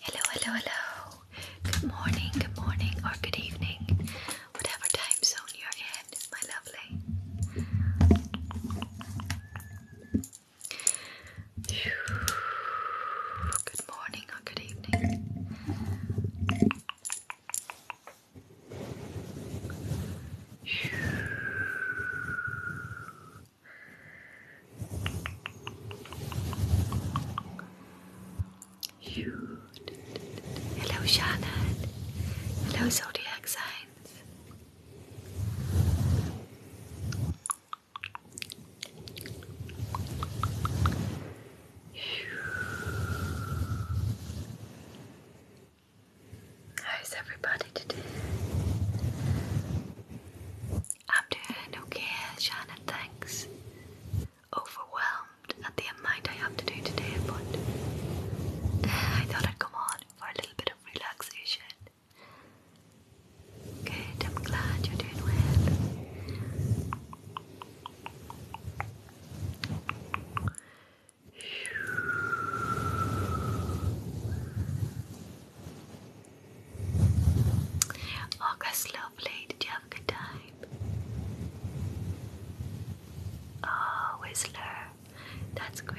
Hello, hello, hello. Good morning, good morning, or good evening, whatever time zone you're in, my lovely. Good morning or good evening. Hello, Shannon. Hello, zodiac signs. How's everybody today? I'm doing okay, Shannon, thanks. Overwhelmed at the amount I have to do today, but eh, I thought I'd come on for a little bit of relaxation. Good, I'm glad you're doing well. August, lovely. Did you have a good time? Oh, Whistler. That's great.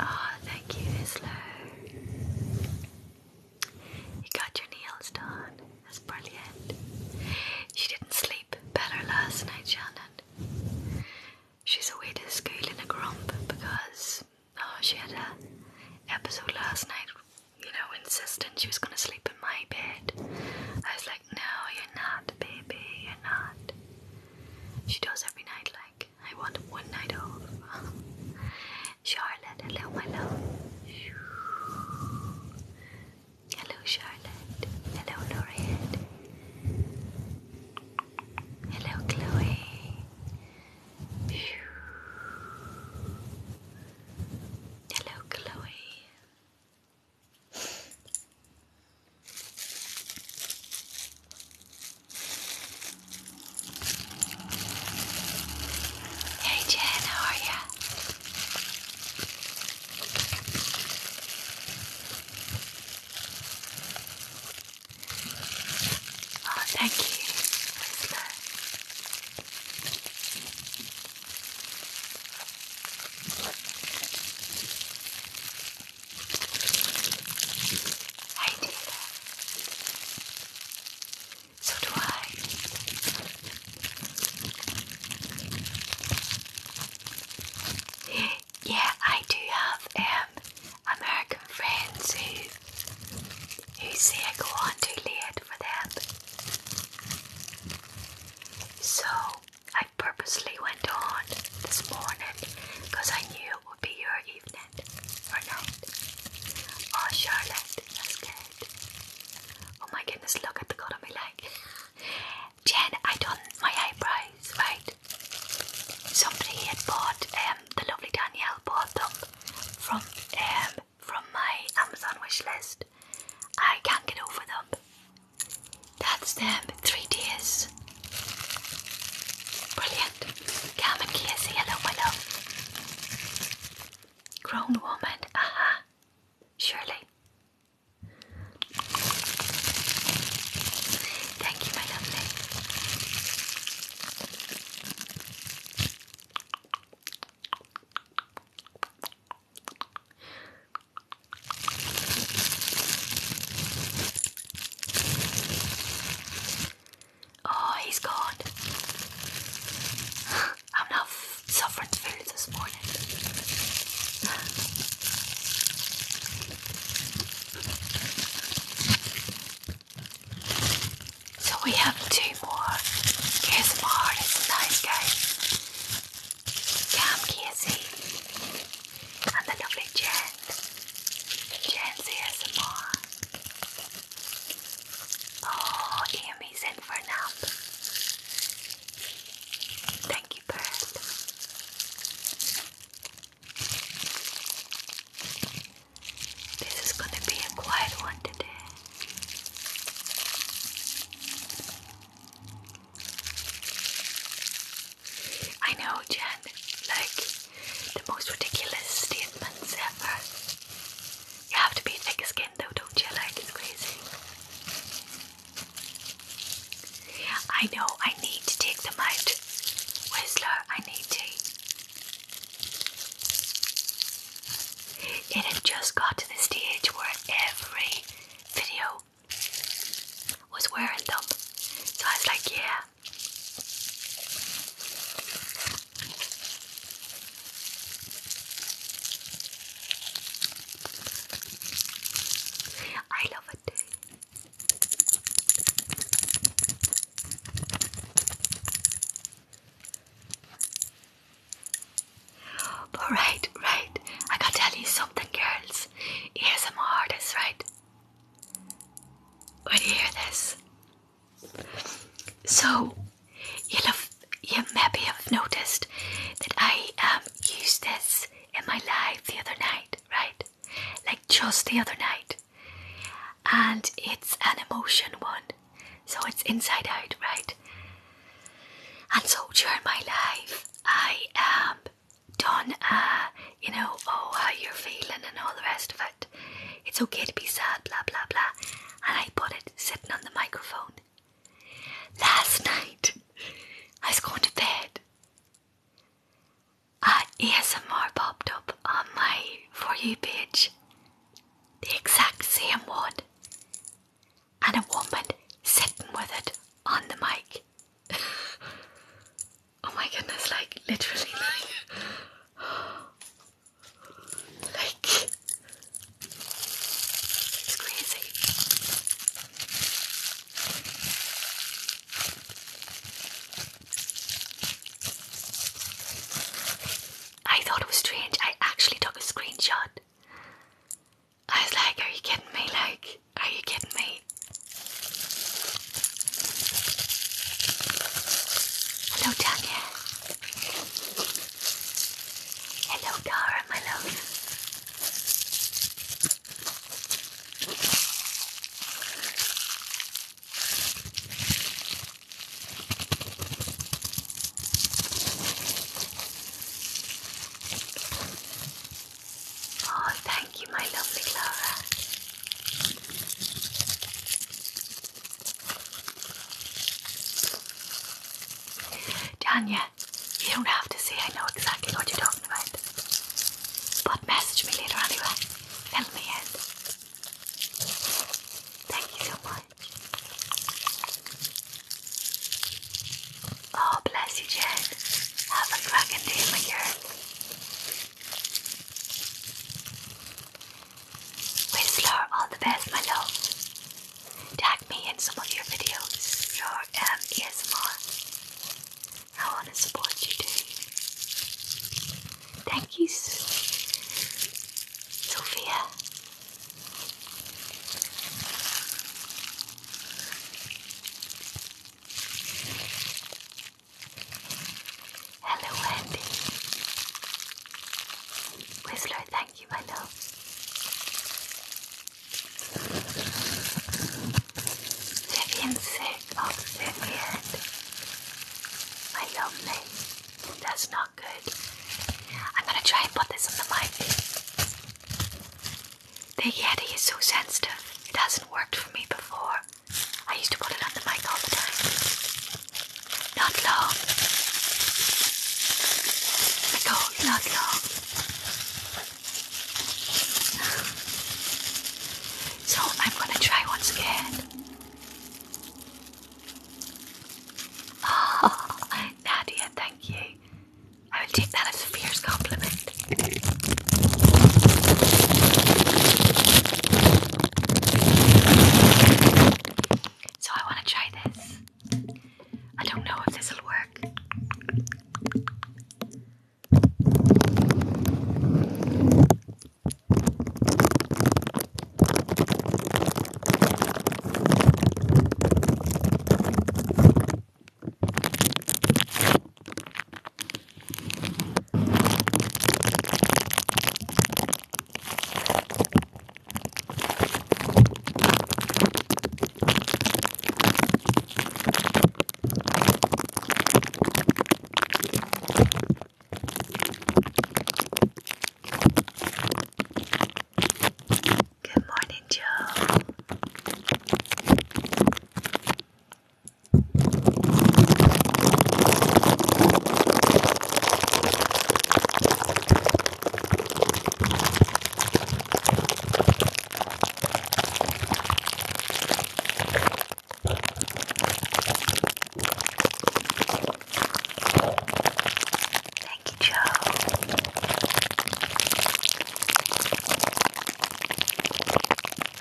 Oh, thank you, Islo. You got your nails done. That's brilliant. She didn't sleep better last night, Shannon. She's away to school in a grump because oh, she had a episode last night. You know, insisting she was going to sleep in my bed. I was no, you're not, baby, you're not. She does every night, like, I want one night off. Charlotte, hello, my love. Hello, Charlotte. Hello, Laureate. Hello, Chloe. Hello, Chloe. Hey Jen, how are ya? Oh, thank you, I did So do I. Yeah, I do have um, American friends who who say I go on too late for them. So I purposely went on this morning because I knew it would be your evening or Oh, Charlotte, that's good. Oh my goodness, look at the cut on my leg. Jen, I done my eyebrows, right? Somebody had bought, um, the lovely Danielle bought them from, um, from my Amazon wish list. I can't get over them. That's them, 3 tears. Brilliant. Come and kiss hello, my love. Grown woman, aha, surely. Thank you, my lovely. Oh, he's gone. I'm not suffering food this morning. so we have two more ASMR artists tonight, guys. Cam Casey and the lovely Jen. Jen's ASMR. Oh, Amy's in for a nap. Thank you, Bert. This is going to be a quiet one today. I know, Jen, like the most ridiculous statements ever. You have to be thick skinned though, don't you? Like, it's crazy. I know, I need to take them out. Whistler, I need to. It had just got to the stage where every video was wearing them. So I was like, yeah. I love it. Alright, right. I gotta tell you something, girls famous more artist, right? When you hear this. So, you'll have, you maybe have noticed that I um, used this in my life the other night, right? Like just the other night. And it's an emotion one. So it's inside out, right? And so during my life, I am. Um, done, uh, you know, oh, how you're feeling and all the rest of it. It's okay to be sad, blah, blah, blah. And I put it sitting on the microphone. Last night, I was going to bed. Uh, ASMR popped up on my For You page. The exact same one. And a woman sitting with it on the mic. oh my goodness, like literally like it's crazy. I thought it was strange. I actually took a screenshot I was like, are you kidding me? Like, are you kidding me? Hello, Tanya. Hello, Dara, my love. Oh, thank you, my lovely Clara. Tanya, you don't have to say I know exactly what you're talking about. But message me later anyway. Fill me in. Thank you so much. Oh, bless you, Jen. Have a cracking day, my girl. Whistler, all the best, my love. Tag me in some of your videos, your um, ASMR. I want to support you too. Thank you, Sophia. Hello, Wendy. Whistler, thank you, my love. The insect of the end, my lovely. That's not good. I'm gonna try and put this on the mic. The Yeti is so sensitive, it hasn't worked for me before. I used to put it on the mic all the time. Not long. not long. So I'm gonna try once again. Nadia, thank you. I will take that as a fierce compliment. So I want to try this. I don't know if this will work. Good morning, Joe. Thank you, Joe.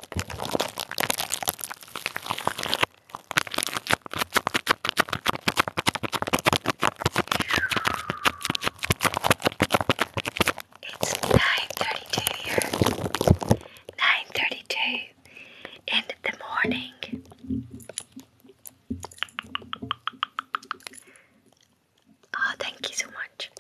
It's 9.32 here. 9.32 in the morning. Oh, thank you so much much.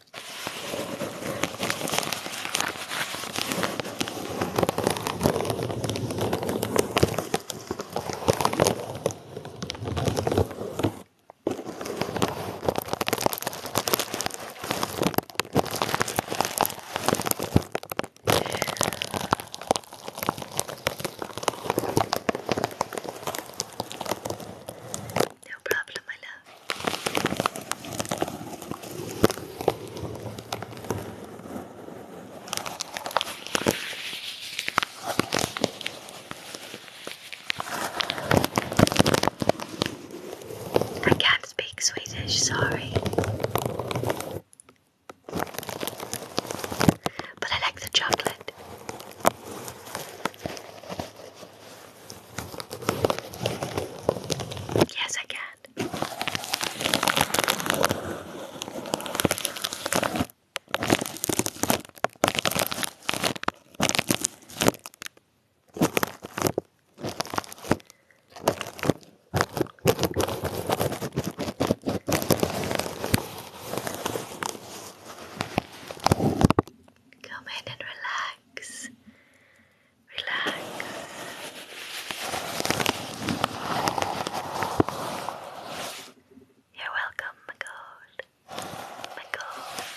No problem, my I can't speak Swedish, sorry. But I like the chocolate. Yes, I can. Come in and relax. Relax. You're welcome, my god. My god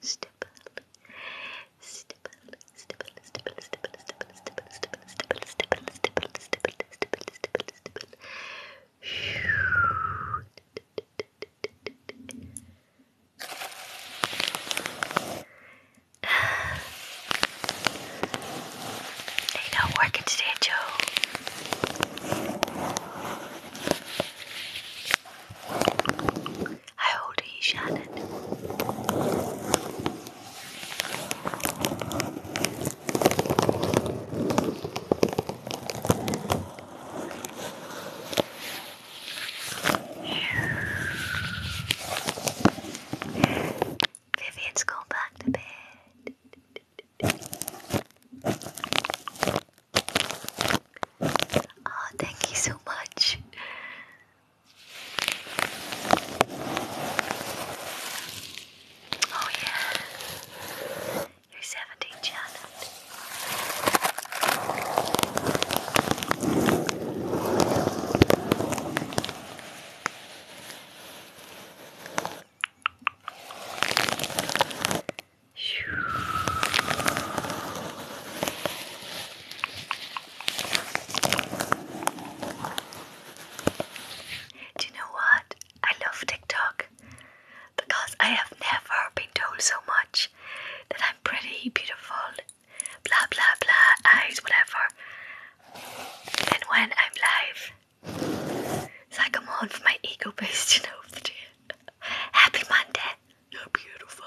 stipple, stipple, stipple, stipple, stipple, stipple, stipple, stipple, stipple, stipple, stipple, stipple, stipple, stipple, stipple. Ain't no working today, Joe. I hold are you, Shannon? Vivian's gone back to bed. Oh, thank you so much. Oh, yeah, you're 17, Janet. Do you know what? I love TikTok because I have never been told so much that I'm pretty, beautiful, blah blah blah, eyes, whatever. And when I'm live, it's like a am for my ego boost, you know, of the day. Happy Monday, you're beautiful,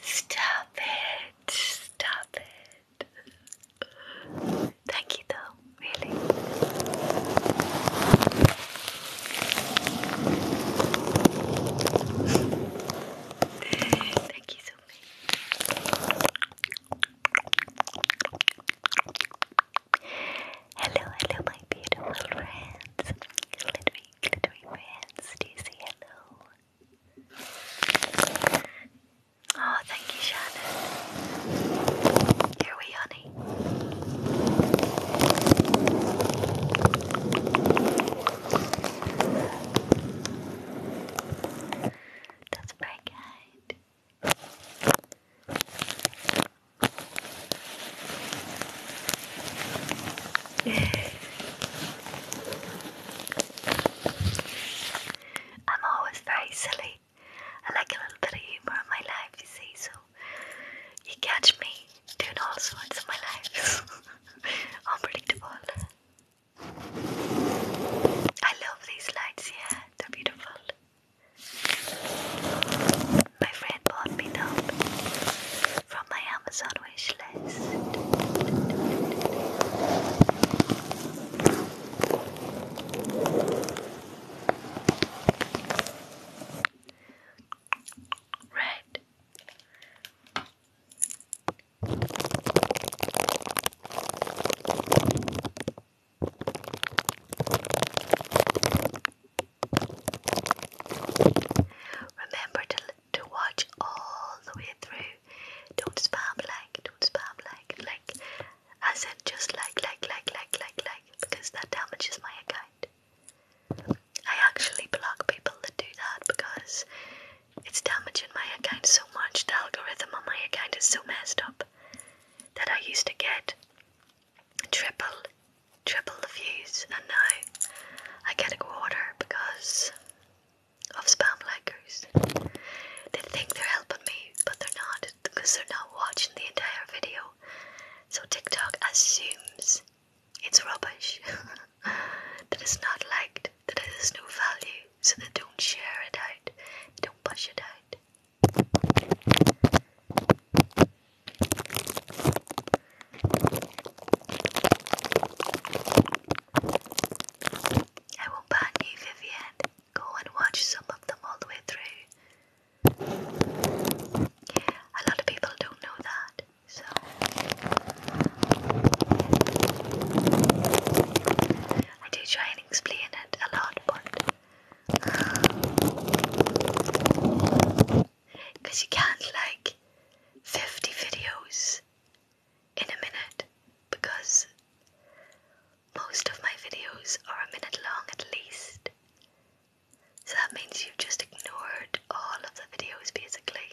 Stop it. Stop it. Thank you though, really. Thank you so much. Hello, hello, my beautiful friends glittery, glittery Do you say hello? Oh, thank you, Shannon. Here we, honey. That's very kind. I'm always very silly. I like a little bit of humor in my life, you see, so you catch me doing all sorts of my life. Unpredictable. I love these lights, yeah, they're beautiful. My friend bought me them from my Amazon wish list. Remember to to watch all the way through. Don't spam like, don't spam like, like, I said, just like, like, like, like, like, like, because that damages my account. I actually block people that do that because it's damaging my account so much. The algorithm on my account is so messed up that I used to get triple, triple views, and now I get a quarter because of spam likers. They think they're helping me, but they're not because they're not watching the entire video. So TikTok assumes it's rubbish, that it's not liked, that it has no value, so they don't share it out, don't push it out. I won't ban you, Vivian. Go and watch some of them all the way through. A lot of people don't know that, so I do try and explain it a lot, but because you can't like 50 videos in a minute because most of my videos are a minute long at least. So that means you've just ignored all of the videos basically.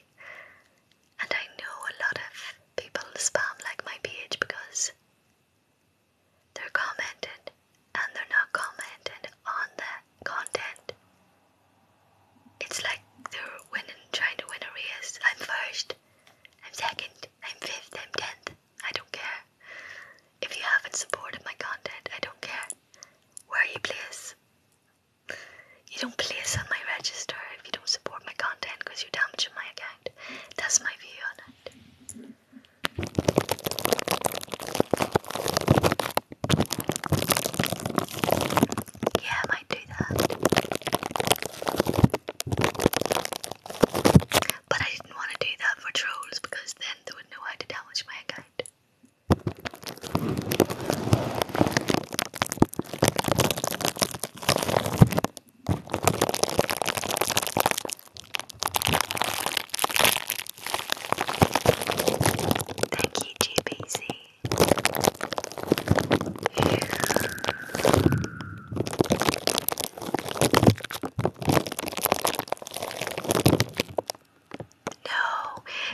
And I know a lot of people spam like my page because they're commenting and they're not commenting on the content it's like they're winning, trying to win a race. I'm first, I'm second, I'm fifth, I'm tenth. I don't care. If you haven't supported my content, I don't care where are you place. You don't place on my register if you don't support my content because you're damaging my account. That's my view on it. Yeah, might do that. But I didn't want to do that for trolls because then they would know how to damage my account. Thank you, GBC. No,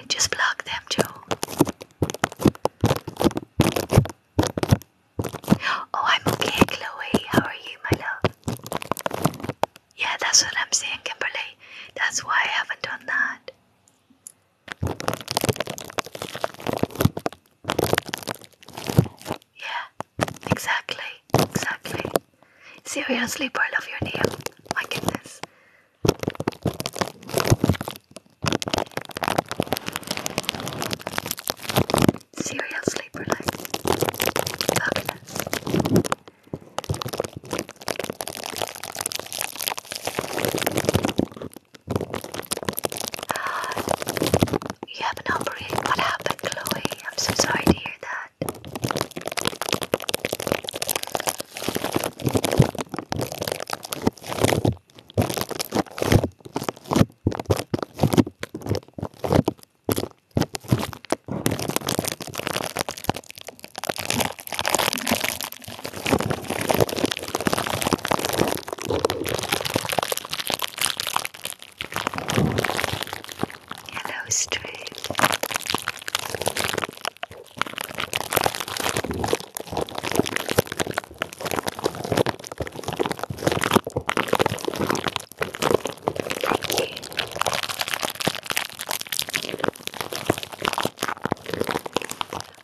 just block them, Joe. Oh, I'm okay, Chloe. How are you, my love? Yeah, that's what I'm saying, Kimberly. That's why I haven't done that. Yeah, exactly, exactly. Seriously, I love your name. My goodness. Seriously, Berlin. Fabulous. You have an operation. What happened, Chloe? I'm so sorry to hear that. Yellow Street.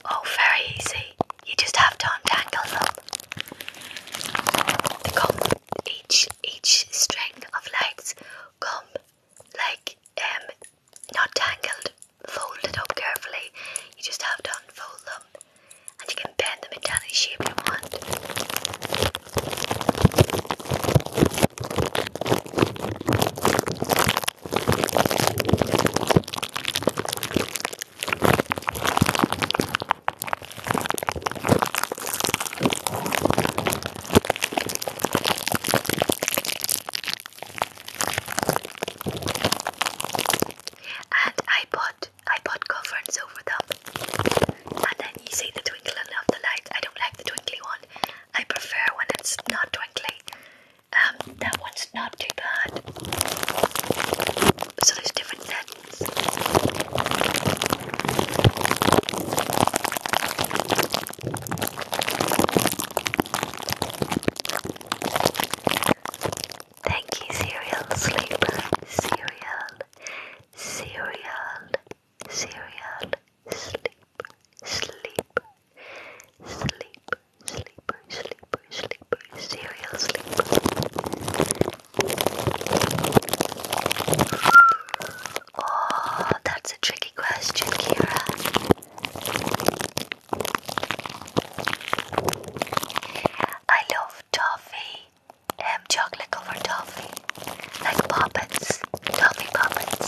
Oh, very easy. You just have to untangle them. comb, each each string of lights come like um not tangled, folded up carefully. You just have to unfold them, and you can bend them into any shape you want. And I bought I bought coverings over them. And then you see the twinkling of the light. I don't like the twinkly one. I prefer when it's not twinkly. Um, that one's not too bad. So there's different lengths. Thank you, Serial Sleeper. Serial, Serial, Serial, Sleep, Sleep, Sleep sleeper, sleeper, sleeper, serial sleeper. Oh, that's a tricky question, Kira. I love toffee. Um, chocolate covered toffee. Like poppets. Toffee poppets.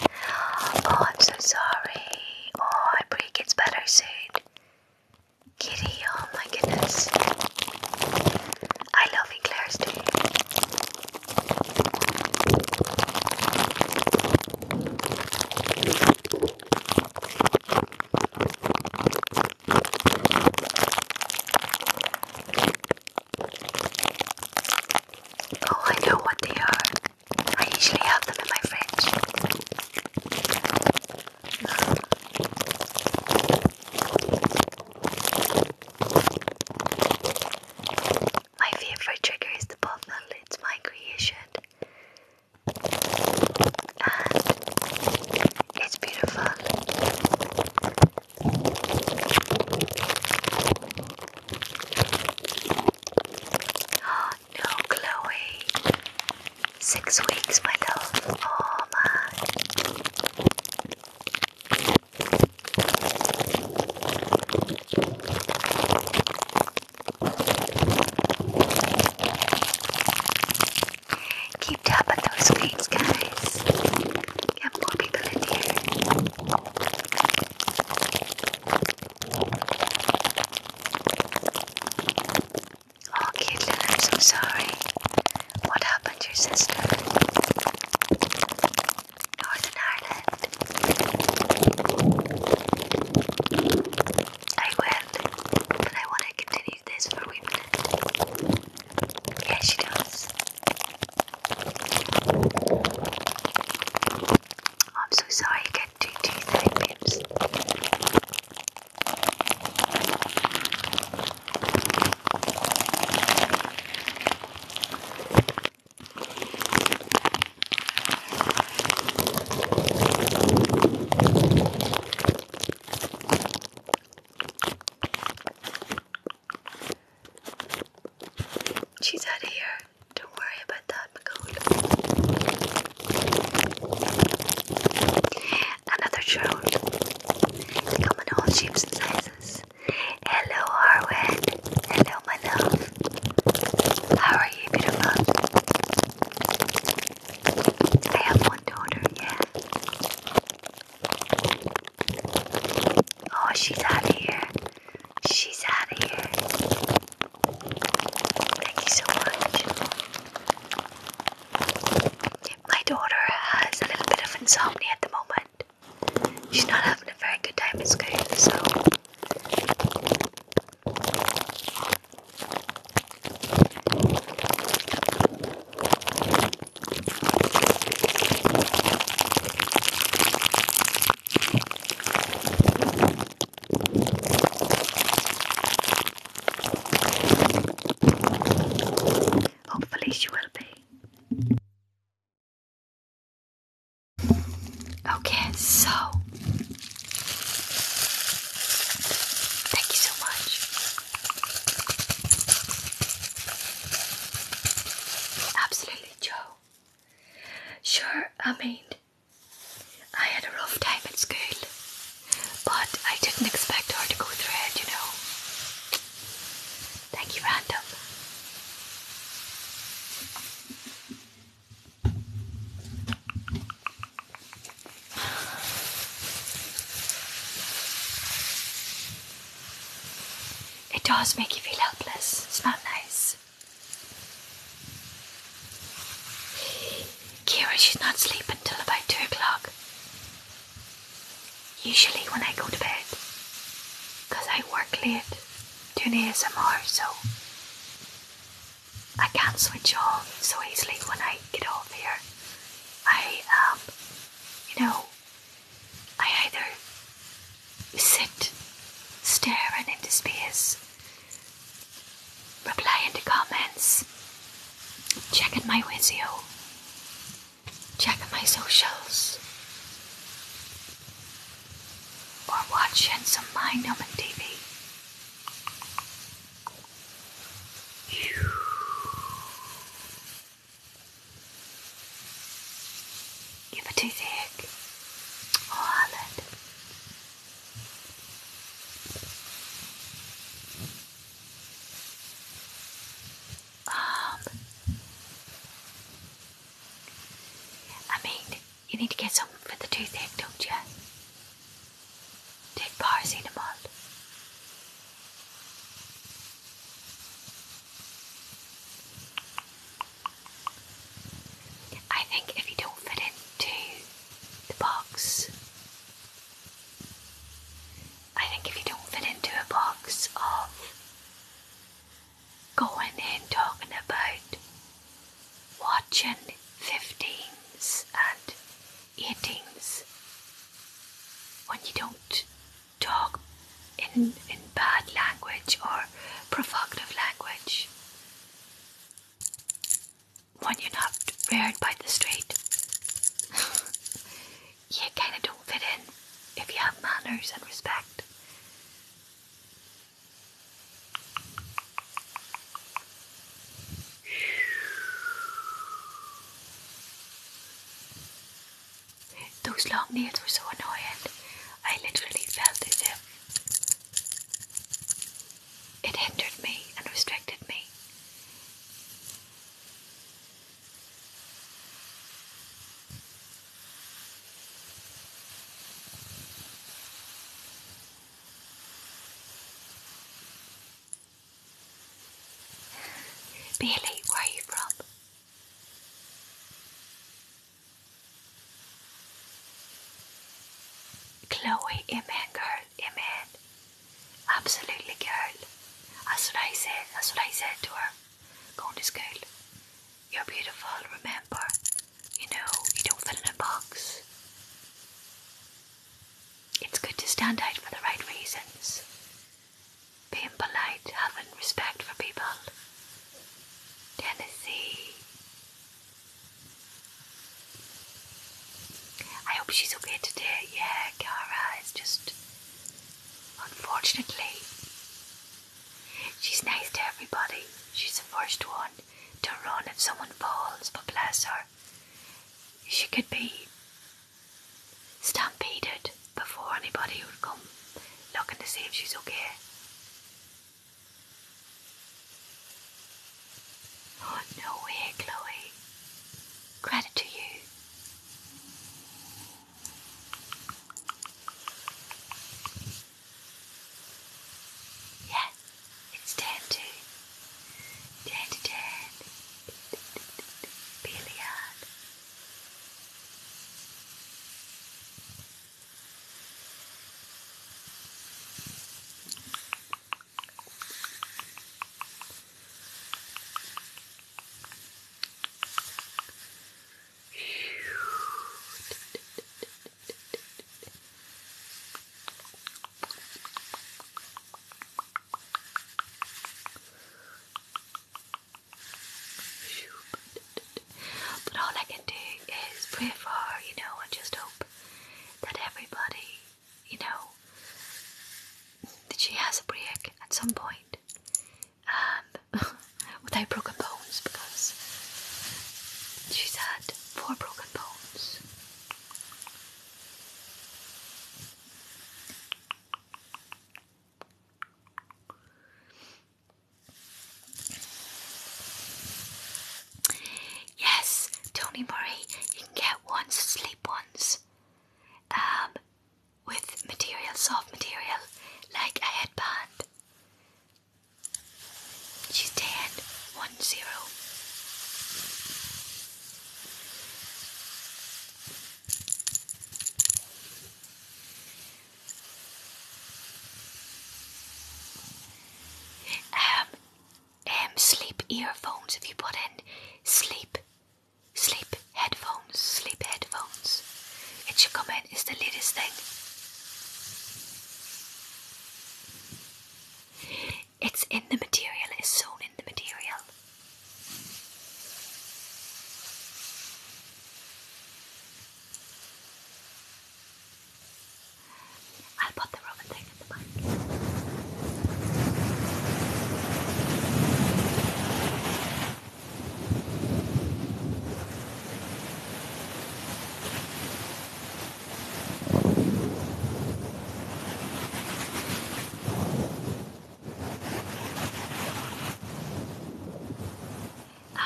Oh, I'm so sorry. Oh, I pray it gets better soon. Kitty, oh my goodness. I love Eclairs too. Oh, I know what they are. I usually have them in my fridge. My favorite trigger is the pop it's my creation. it's beautiful no, Chloe. Six weeks, my love. Oh, Keep tap on those screens, guys. Get more people in here. Oh, Caitlin, I'm so sorry. What happened to your sister? Northern Ireland. I will, but I want to continue this for a wee she does. I'm so sorry I can't do two things. She's out of here. Don't worry about that, Macaulay. Another drone. They in all shapes and sizes. Hello, Arwen. Hello, my love. How are you, beautiful? I have one daughter, yeah. Oh, she's out of here. She's out of here. Thank you so much. My daughter has a little bit of insomnia at the moment. She's not having a very good time at school, so. Hopefully, she will be. Okay, so thank you so much. Absolutely, Joe. Sure, I mean, I had a rough time at school, but I didn't expect her to go through it, you know. Thank you, Random. It does make you feel helpless. It's not nice. Kira should not sleep until about 2 o'clock. Usually when I go to bed. Because I work late doing ASMR, so I can't switch off so easily when I get off here. I, um, you know, I either sit staring into space Reply in the comments. Check in my Vizio. Check in my socials. Or watch some mind on TV. You have a toothache. Or oh, Ireland. Up. Um, I mean, you need to get something for the toothache, don't you? Take paracetamol. I think if you don't fit into the box. I think if you don't fit into a box of going in talking about watching 15s and 18s, when you don't talk in, in bad language or provocative language, when you're not reared by the street. you kind of don't fit in if you have manners and respect. Those long nails were so annoying. I literally felt as if it hindered me and restricted me. Bailey, where are you from? Chloe, amen, girl, amen. Absolutely, girl. That's what I said. That's what I said to her. Going to school. You're beautiful, remember. You know, you don't fit in a box. It's good to stand out for the right reasons. Being polite, having respect for people. Tennessee, I hope she's okay today. Yeah, Cara It's just. Unfortunately, she's nice to everybody. She's the first one to run if someone falls, but bless her, she could be stampeded before anybody would come looking to see if she's okay. Oh, no way, Chloe. Credit to you. Yeah, it's ten to ten to ten. Billiard. But all I can do is pray for, you know, and just hope that everybody you know, that she has a break at some point. Um, without broken bones, because she's had four broken bones. Yes, Tony Murray, you can get once, sleep once. Um, with material, soft material, like a headband. She's 10, 1 Um, um, sleep earphones if you put in sleep sleep headphones sleep headphones it should come in it's the latest thing it's in the material it's sewn in the material I'll put the rubber thing in the back.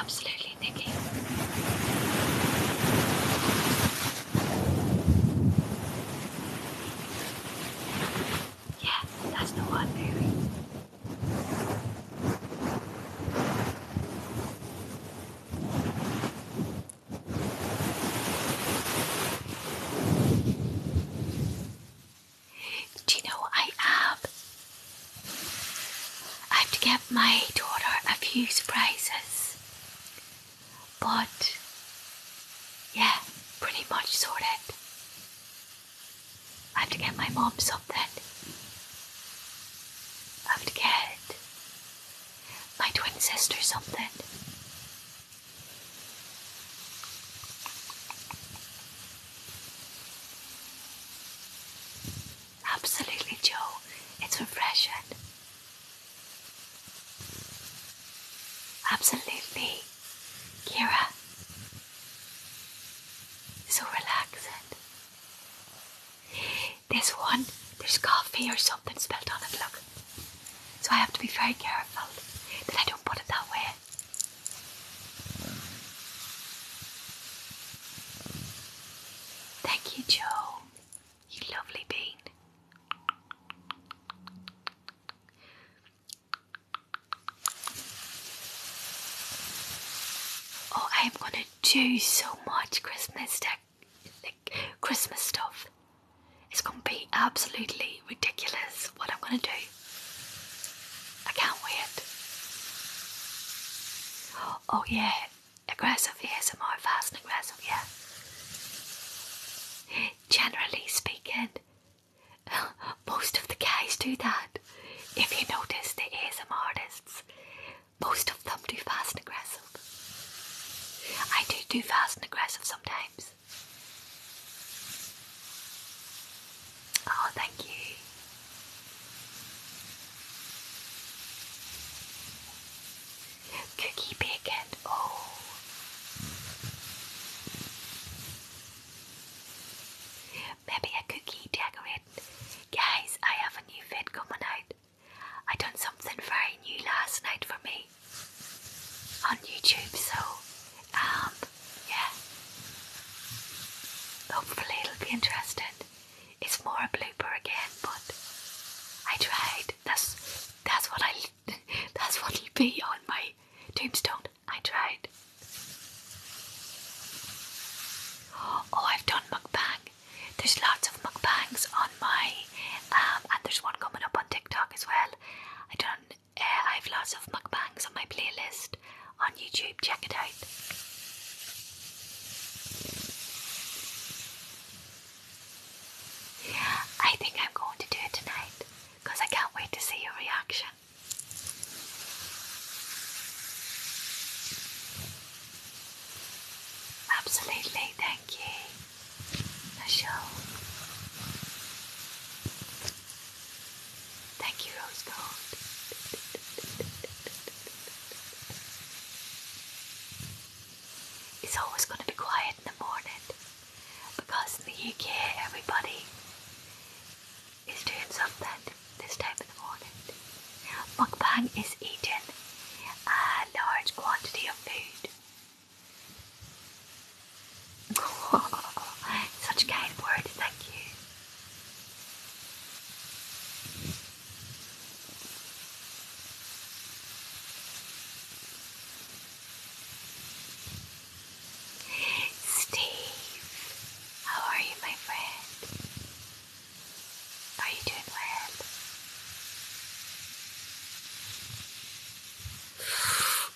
Absolutely, Nikki. Yeah, that's the one, baby. Do you know what I have? I have to give my daughter a few surprises. But yeah, pretty much sorted. I have to get my mom something. I have to get my twin sister something. Absolutely, Joe. It's refreshing. Absolutely, Kira. So relaxed. This one, there's coffee or something spilled on it, look. So I have to be very careful that I don't put it that way. Thank you, Joe. You lovely bean. Oh, I am gonna do so much Christmas tech, Christmas stuff. It's gonna be absolutely ridiculous what I'm gonna do. I can't wait. Oh yeah, aggressive ASMR, fast and aggressive, yeah generally speaking. Most of the guys do that. If you notice the ASM artists, most of them do fast and aggressive. I do too fast and aggressive sometimes. Oh, thank you. Cookie Picket. Oh. Maybe a cookie decorate. Guys, I have a new vid coming out. I done something very new last night for me on YouTube, so um yeah. Hopefully it'll be interesting. It's more a blooper again, but I tried. That's that's what I That's what will be on my tombstone. I tried. Oh, I've done mukbang. There's lots of mukbangs on my, um, and there's one coming up on TikTok as well. I done. Uh, I have lots of mukbangs on my playlist on YouTube. Check it out. I think I'm going to do it tonight because I can't wait to see your reaction. Absolutely, thank you. Michelle. Thank you, Rose It's always going to be quiet in the morning because in the UK everybody is doing something this time in the morning. Mukbang is eating a large quantity of food. Such kind word, thank you. Steve, how are you, my friend? Are you doing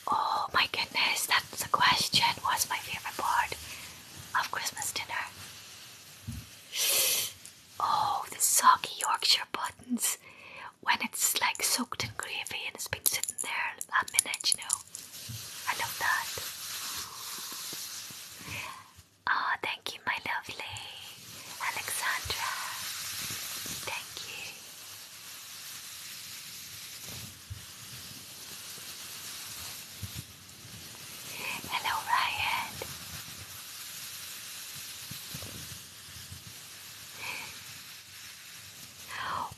well? Oh my goodness, that's a question. What's my favorite part of Christmas dinner? Oh, the soggy Yorkshire buttons when it's like soaked in gravy and it's been sitting there a minute, you know. I love that. Oh, thank you, my lovely Alexandra. Thank you. Hello, Ryan.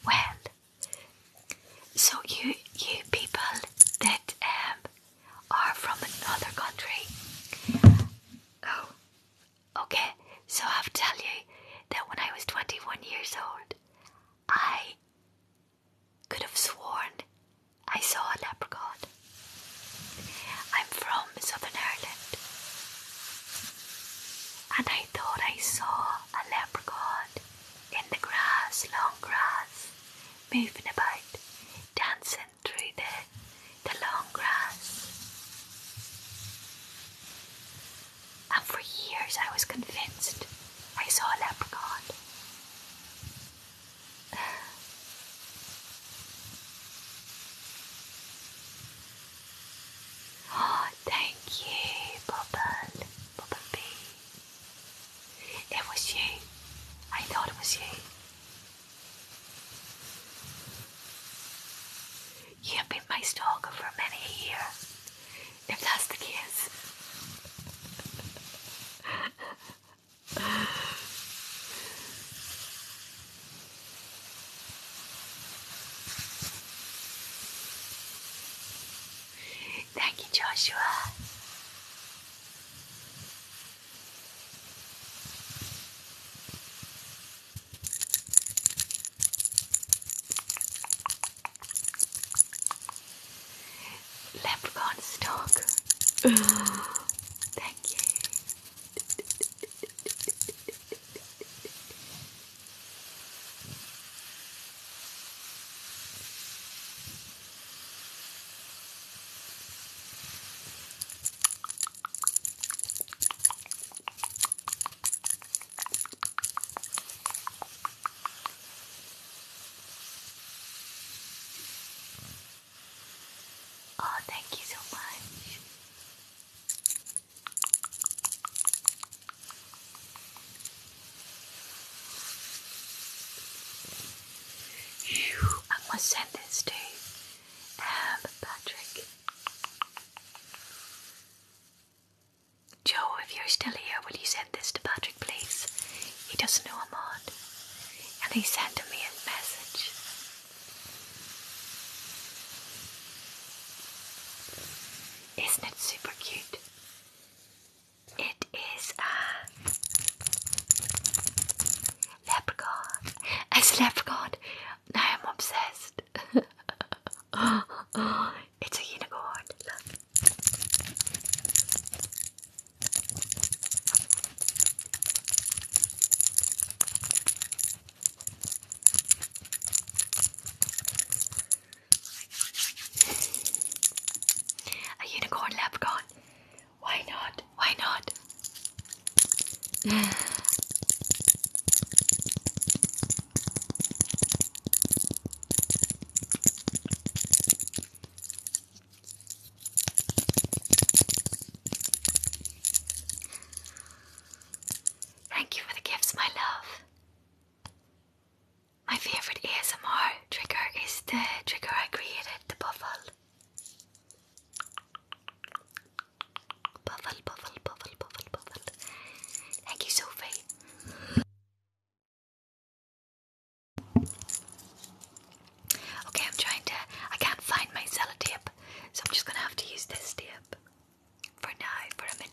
Well, so you you people that um, are from another country. Oh, okay. So I'll tell you that when I was twenty-one years old, I could have sworn I saw a leprechaun. I'm from Southern Ireland and I thought I saw a leprechaun in the grass, long grass, moving about, dancing through the, the long grass. And for years I was convinced I saw a leprechaun. Oh, thank you, Bubble. Bubble It was you. I thought it was you. You have been my stalker for many a year. If that's the case. Thank you, Joshua. Leprechaun stock. Thank you. Oh, thank you so much. I'm gonna send this to um, Patrick. Joe, if you're still here, will you send this to Patrick, please? He doesn't know I'm on. And he sent me a message. Isn't it super cute? It is uh, a leprechaun. It's a leprechaun. Now I'm obsessed. it's a unicorn. A unicorn leprechaun. Why not? Why not? Thank you for the gifts, my love. My favorite ASMR trigger is the trigger I created, the buffle. Buffle, buffle, buffle, buffle, buffle. Thank you, Sophie. Okay, I'm trying to. I can't find my sellotape, so I'm just gonna have to use this tape for now, for a minute.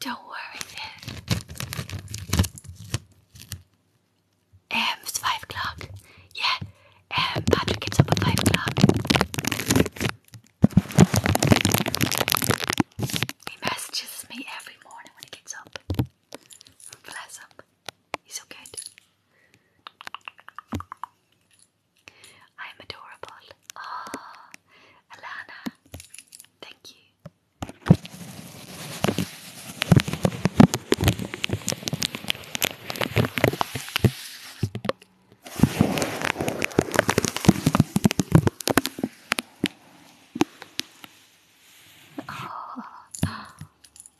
Don't worry, it's five o'clock. Yeah, Patrick gets up at five o'clock. He messages me every morning when he gets up. Bless him. He's so good. I'm adorable. Oh, Alana, thank you. Oh,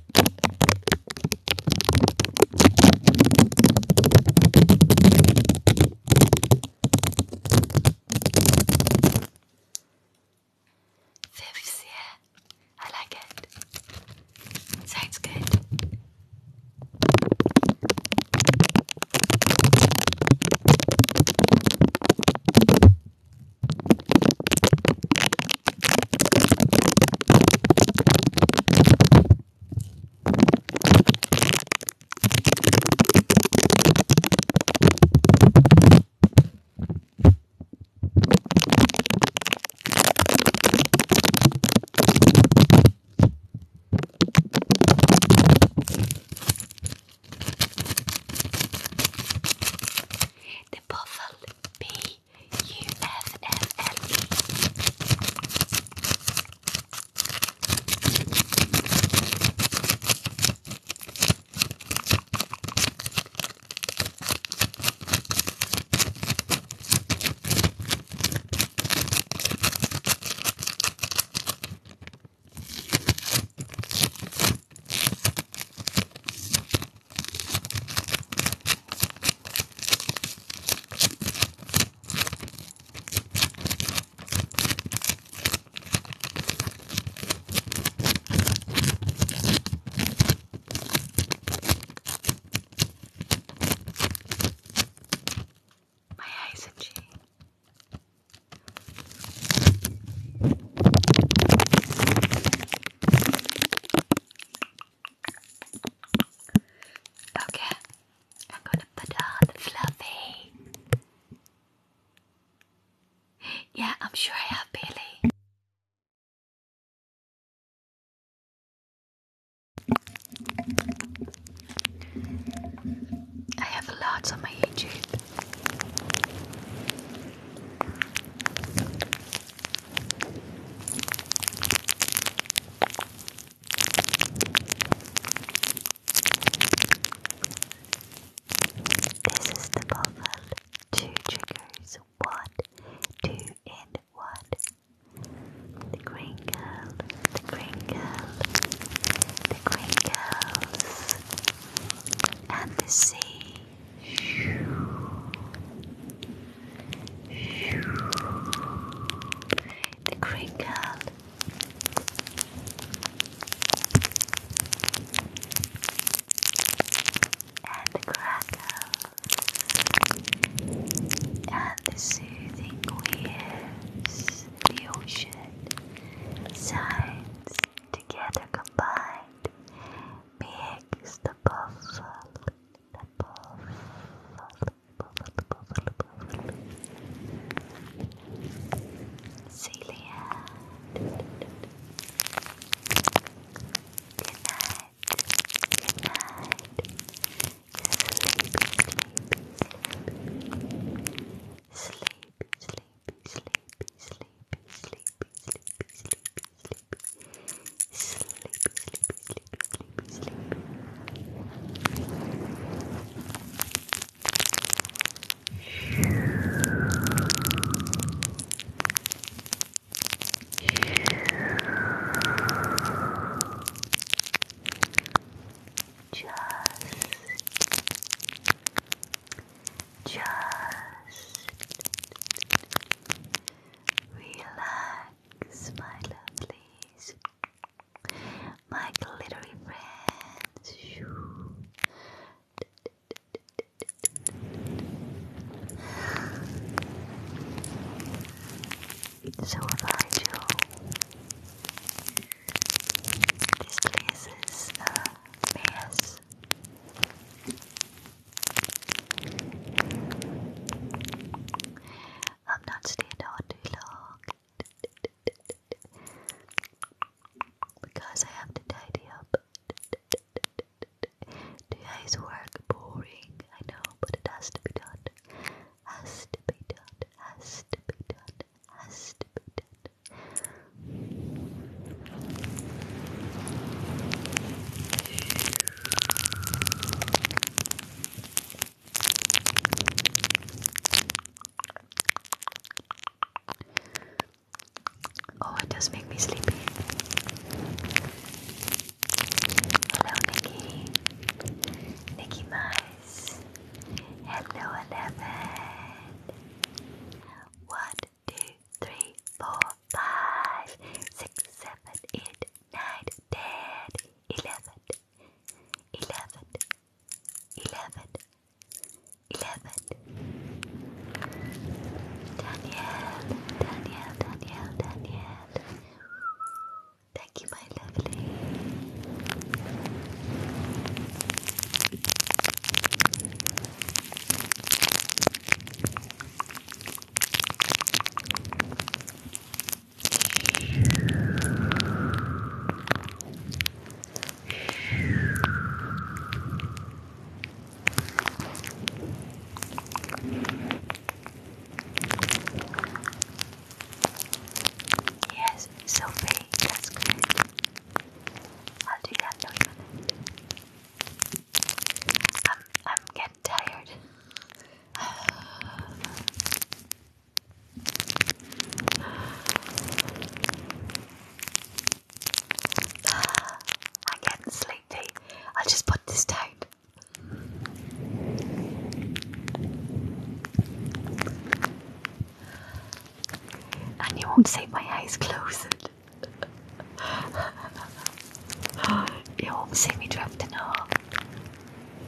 There we see it. I like it. Sounds good. The puffle bee U F F L E. My eyes itchy. Okay, I'm gonna put on Fluffy. Yeah, I'm sure I have Billy. I have lots on my YouTube. This is the puzzle. Two triggers, one, two, and one. The green girl, the green girl, the green girls, and the sea. The crinkle. And the crackle. And the soothing waves. The ocean. Signs together combined. Makes the puffle. Celia. Good night. Good night. sleepy, sleepy, sleepy, sleepy, sleepy, sleepy, sleepy, sleepy, Sleepy, sleepy, sleepy, sleepy, just just relax Smile, my lovelies, my glittery friends. So about you, this place is a mess. I'm not staying on too long because I have to tidy up. Today's work boring, I know, but it has to be done. Has to be done. Has to be done. Has to be done. Oh, it does make me sleepy. Hello, Nikki. Nikki Mice. Hello, Eleven. One, two, three, four, five, six, seven, eight, nine, ten, eleven, eleven, eleven, eleven. Danielle, Danielle, Danielle, Danielle. Thank you, my lovely. Yes, Sophie, that's great. I'll do that in a minute. I'm I'm getting tired. I'm getting sleepy. I'll just put this down. And you won't see my eyes closed. you won't see me drifting off.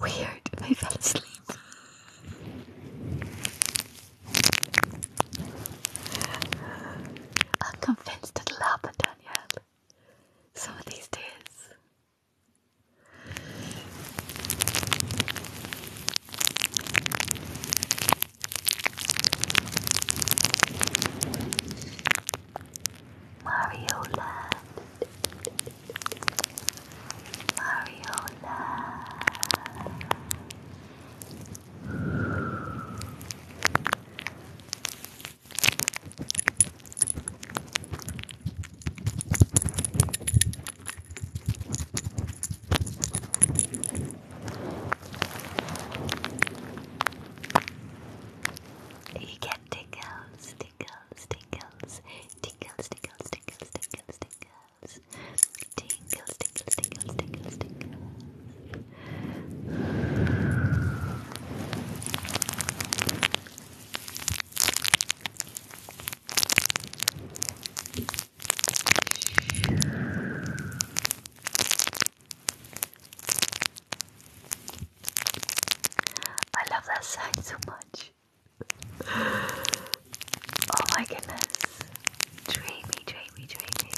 weird I fell asleep. I'm convinced it'll Danielle. Some of these days. Mario Land. Mariola. You get tickles tingles, tingles, tingles, tingles, tingles, tingles, tingles, tingles, tingles, tingles, tingles, tingles. I love that sound so much oh my goodness. Dreamy, dreamy, dreamy.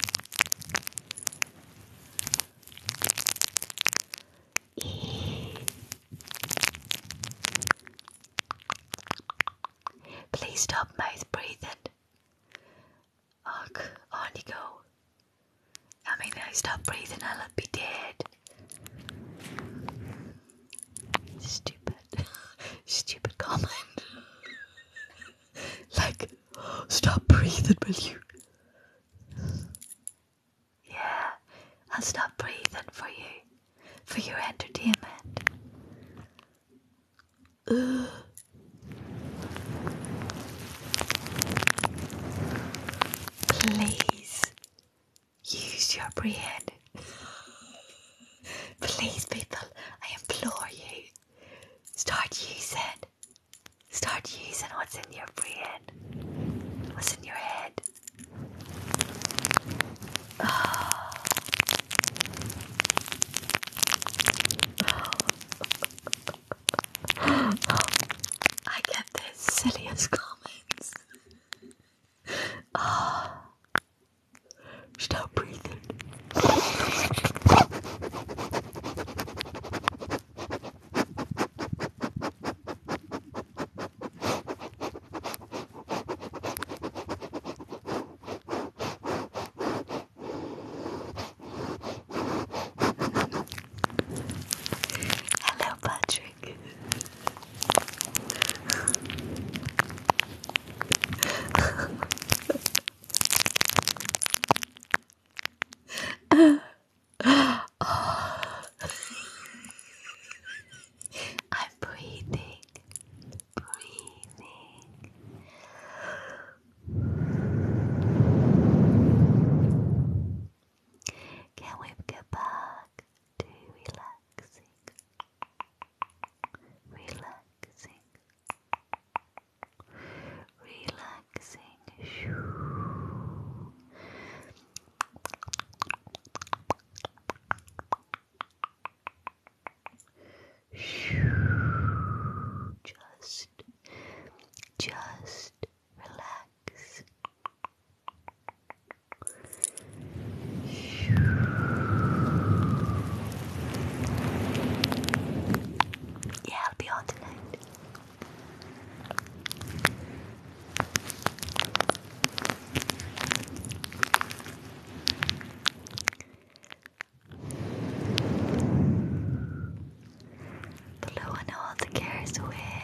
Please stop mouth breathing. Ugh, on you go. I mean, I stop breathing, I'll be dead. Stupid. Stupid comment. like, stop breathing, will you? Yeah, I'll stop breathing for you. For your entertainment. Please Use your brain. Please, people, I implore you. Start using. Start using what's in your brain. What's in your head. I get the silliest comments. Stop breathing. Hello, Patrick. I'm breathing, breathing. Can we get back? to relaxing, relaxing, relaxing. Just, just relax. Yeah, I'll be on tonight. Blowing all the cares away.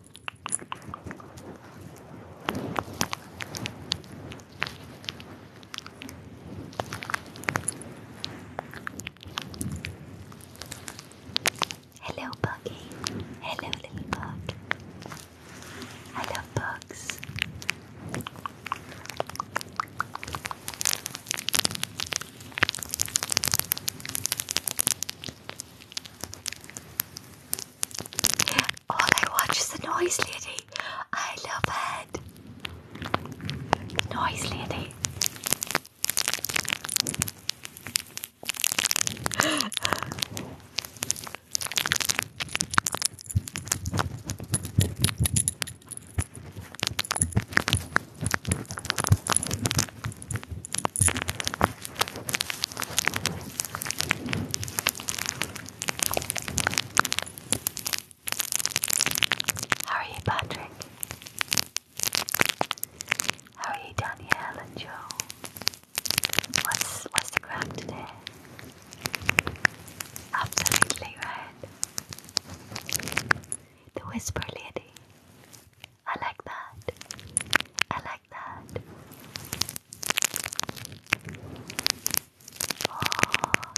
Hello, Buggy. Hello, little bug. I love bugs. All oh, I watch is the noise lady. I love it. The noise lady. How are you, Patrick? How are you, Danielle and Joe? What's what's the crack today? Absolutely right. The whisper lady. I like that. I Oh,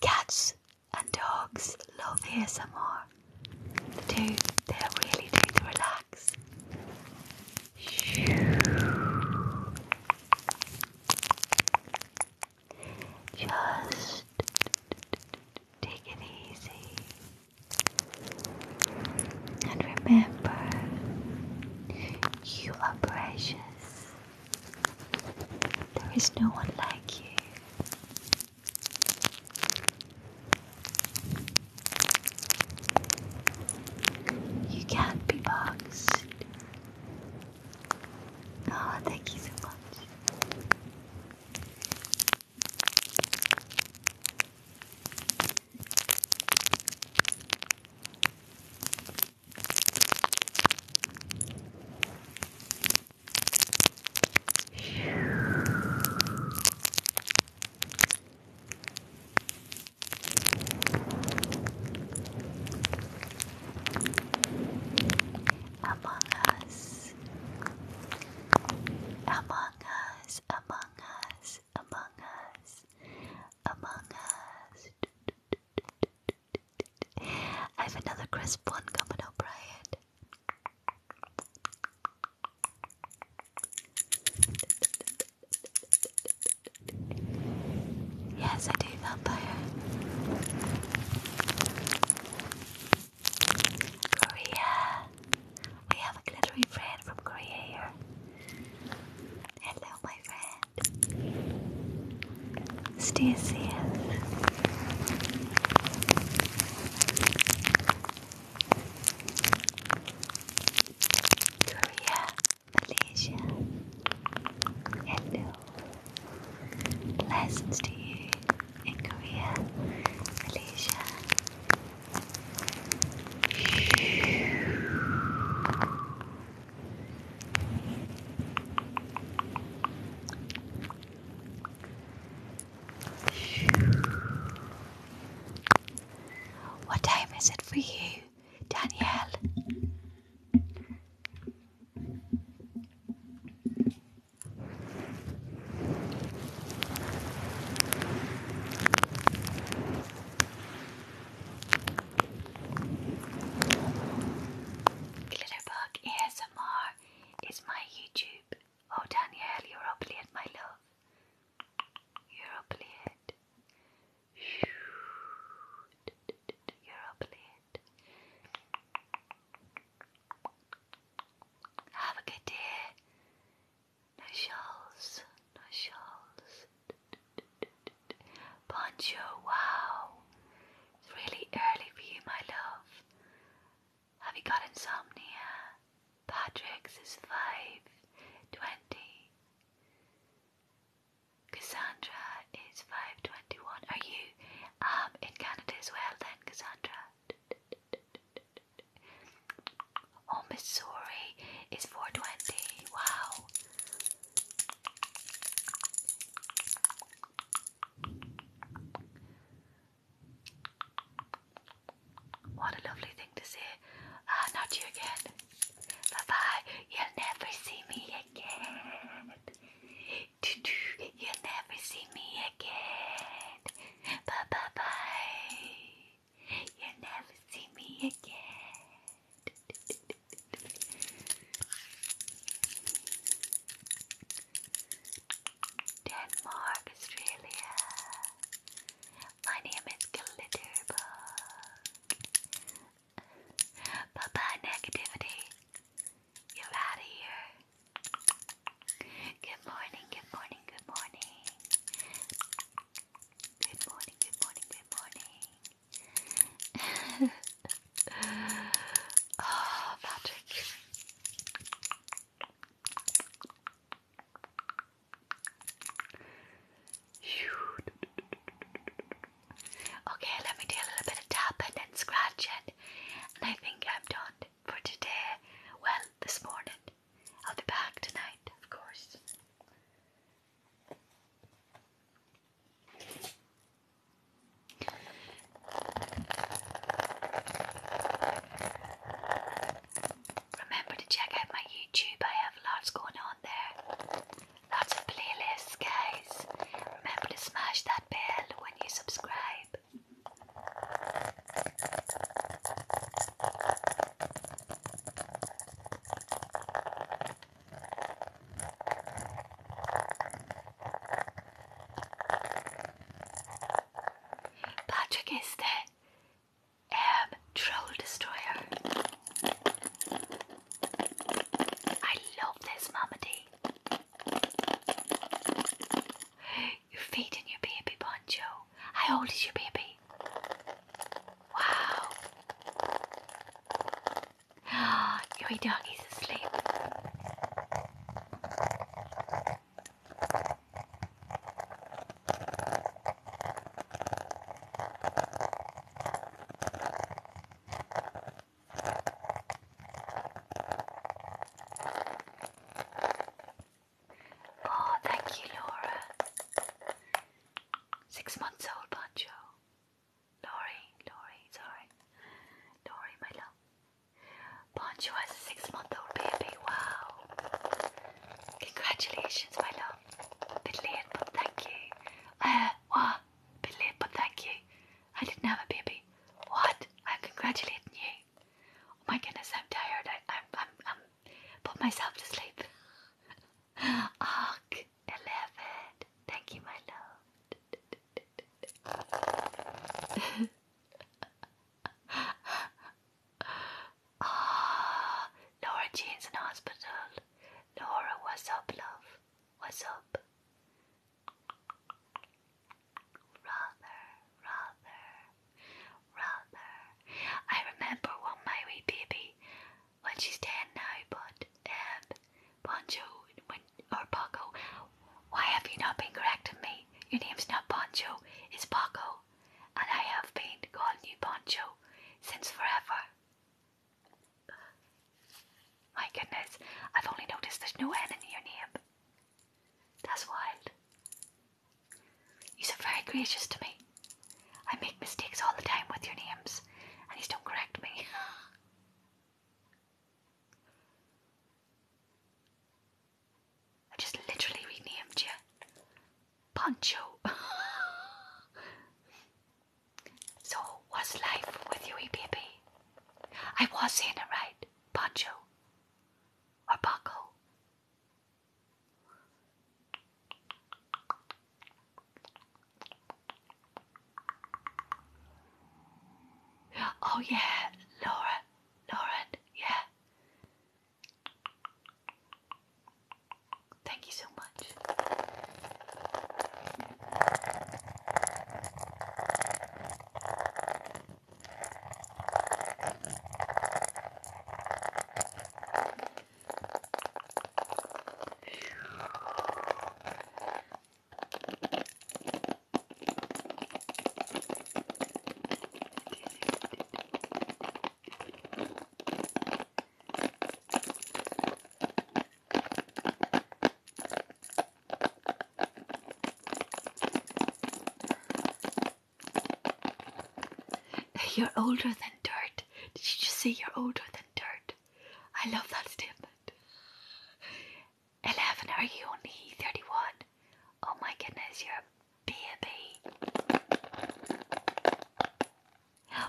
cats and dogs love here some more. The 2 They they're really do. to relax. Just take it easy. And remember, you are precious. There is no one like you. You can't be boxed. Oh, thank you so much. Among us, among us, among us, among us. Among Us. I have another crisp one coming up, Brian. Yes, I do, vampire. Korea. We have a glittery friend from Korea Hello, my friend. Stay Korea, Malaysia. Hello. Blessings to you in Korea, Malaysia, what time is it for you, Danielle? Glitterbug ASMR is my YouTube. Oh, Danielle, you're up late, my love. You're up You're up Have a good day. No shawls, no shawls. Bonjour, wow. It's really early for you, my love. Have you got insomnia? Patrick's is five twenty. Cassandra is five twenty one. Are you um in Canada as well then, Cassandra? Oh Missouri is four twenty. Wow. What a lovely thing to say. Ah, not you again. Bye bye. You'll never see me again. You'll never see me again. Bye bye bye. You'll never see me again. Denmark, Australia. My name is Glitterbug. Bye bye, negativity. You're out of here. Good morning, good morning, good morning. Good morning, good morning, good morning oh, Patrick. Okay, let me do a little bit of tapping and scratching, and I think I'm done for today. Well, this morning. I'll be back tonight, of course. Remember to check out my YouTube, I have lots going on there. Lots of playlists, guys. Remember to smash that bell when you subscribe. Patrick is the um, troll destroyer. I love this, Mamadi. You're feeding your baby, Bonjo. How old is your baby? Wow. Your doggy's asleep. Oh, thank you, Laura. Six months old, Pancho. Lori, Lori, sorry. Lori, my love. Poncho has a six month old baby. Wow. Congratulations, my love. Bit late, but thank you. Uh, what? Bit late, but thank you. I didn't have a baby. What? I'm congratulating you. Oh my goodness, I'm tired. I, I'm, I'm, I'm put myself to sleep. oh, Eleven. Thank you, my love. Ah, Laura Jean's in hospital. Laura, what's up, love? What's up? Rather, rather, rather. I remember one my wee baby when she's dead now, but um, Bonjo, when, or Paco, why have you not been correcting me? Your name's not Bonjo, it's Paco, and I have been calling you Bonjo since forever. My goodness, I've only noticed there's no N in your name. That's wild. You're very gracious to me. I make mistakes all the time with your names, and you still correct me. I just literally renamed you Poncho. so, what's life with you, EPP? I was saying it right. Poncho. Or Paco. Oh, yeah, Lauren, Lauren, yeah. Thank you so much. You're older than dirt. Did you just say you're older than dirt? I love that statement. 11, are you only 31? Oh my goodness, you're a baby.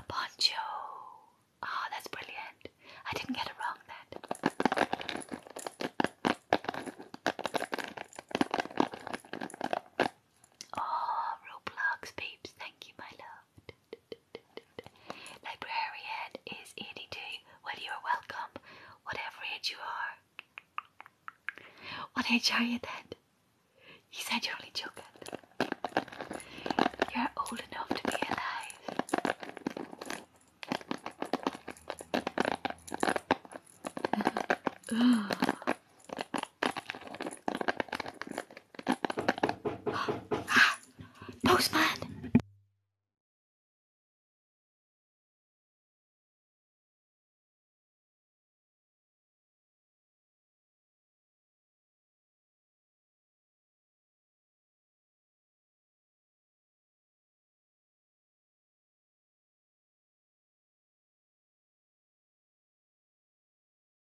Poncho. Oh, that's brilliant. I didn't get it wrong then. Oh, Roblox peeps, thank you, my love. Librarian is 82. Well, you are welcome, whatever age you are. What age are you then? You said you're only joking. You're old enough to be alive. ah, postman!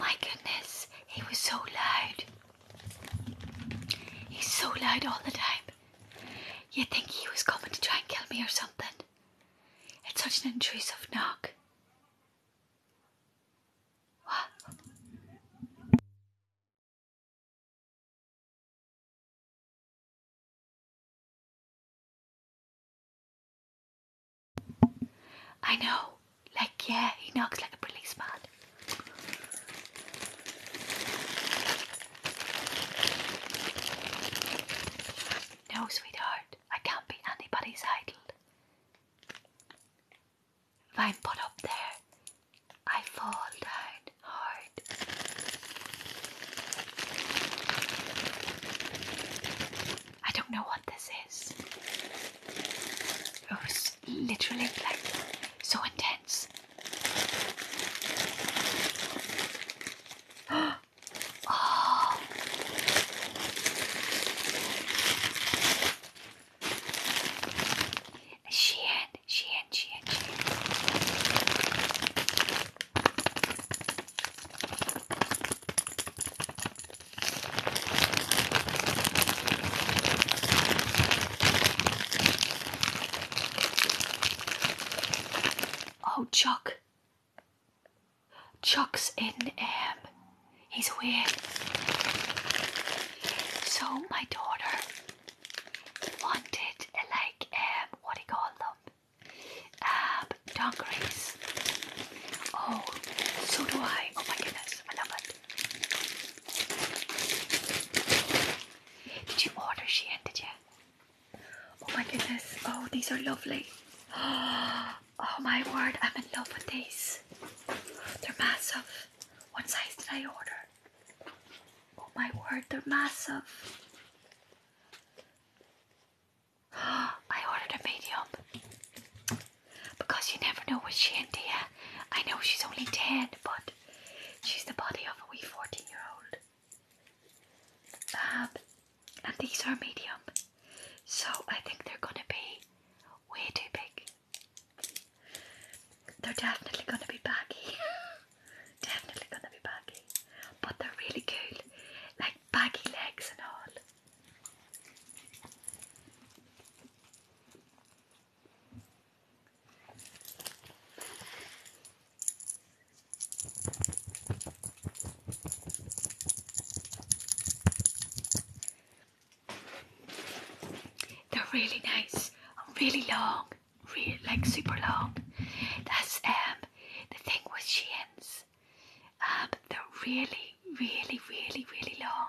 My goodness, he was so loud. He's so loud all the time. You'd think he was coming to try and kill me or something. It's such an intrusive knock. What? I know, like, yeah, he knocks like a policeman. No, sweetheart, I can't be anybody's idol. If I'm put up there, I fall down hard. I don't know what this is. It was literally like so intense. oh. Shein, Shein, Shein, Shein. Oh, Chuck. Chuck's in, um, he's weird. So my daughter wanted, like, um, what do you call them? Um, dungarees. Oh, so do I. Oh my goodness, I love it. Did you order Shein? Did you? Oh my goodness! Oh, these are lovely. Oh my word! I'm in love with these. They're massive. What size did I order? Oh my word! They're massive. I ordered a medium because you never know what with Shantia. I know she's only 10, but she's the body of a wee 14 year old. Um, and these are medium, so I think they're gonna be way too big. They're definitely gonna be baggy. definitely gonna be baggy. But they're really cool. Like baggy legs and all. They're really nice, really long, real like super long. That's um the thing with Sheins. Um, they're really, really, really, really long.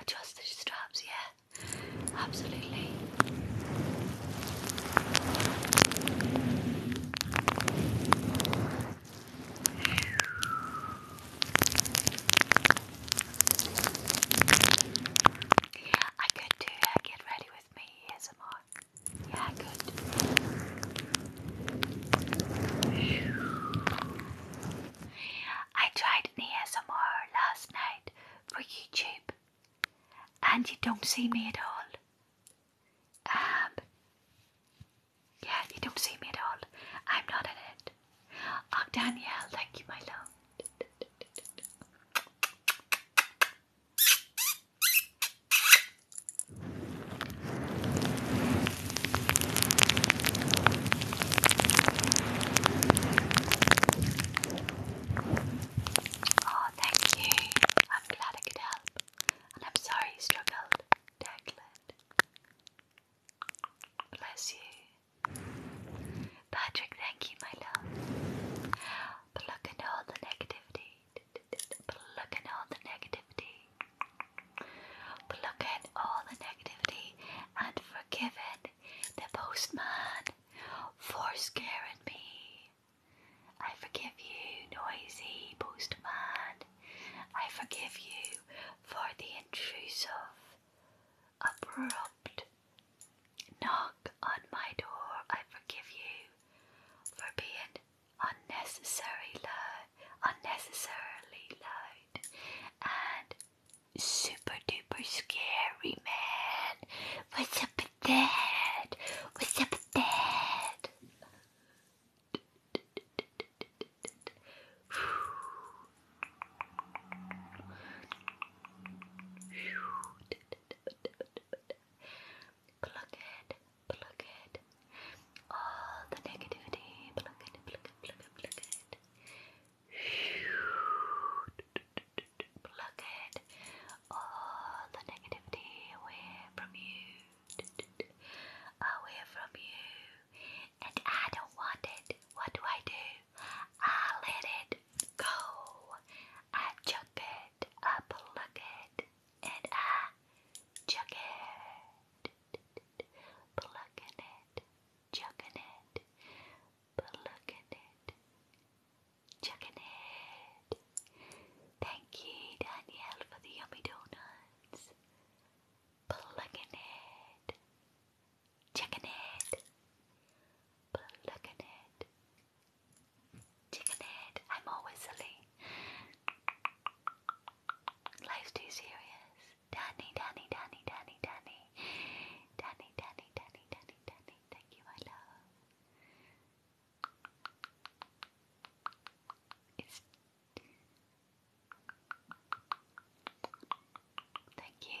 Adjust the straps, yeah, absolutely. I could do uh, get ready with me ASMR. Yeah, I could. I tried an ASMR last night for YouTube, and you don't see me at all. Um, yeah, you don't see me at all. I'm not in it. Oh, Danielle, thank you, my love. Oh, thank you. I'm glad I could help. And I'm sorry you struggled, Bless you. Patrick, thank you, my love. Pluck and all the negativity. Pluck and all the negativity. Pluck in all the negativity and forgiven the postman for scaring me. I forgive you, noisy postman. I forgive you for the intrusive abrupt knock on my door. I forgive you for being unnecessarily unnecessarily loud, and super duper scary, man. What's up with What's up with Plug it, plug it. All the negativity, plug it, plug it, plug it, plug it. Plug it. All the negativity away from you. Away from you. And I don't want it. What do I do? I let it go. I took it, I pluck it, and I chuck it. Plucking it, chucking it, plucking it, chucking it. Thank you, Danielle, for the yummy donuts. Plucking it, chucking it, plucking it. Chicken head, I'm always silly. Life's too serious. Danny, Danny, Danny, Danny, Danny. Danny, Danny, Danny, Danny, Danny. Thank you, my love. Thank you.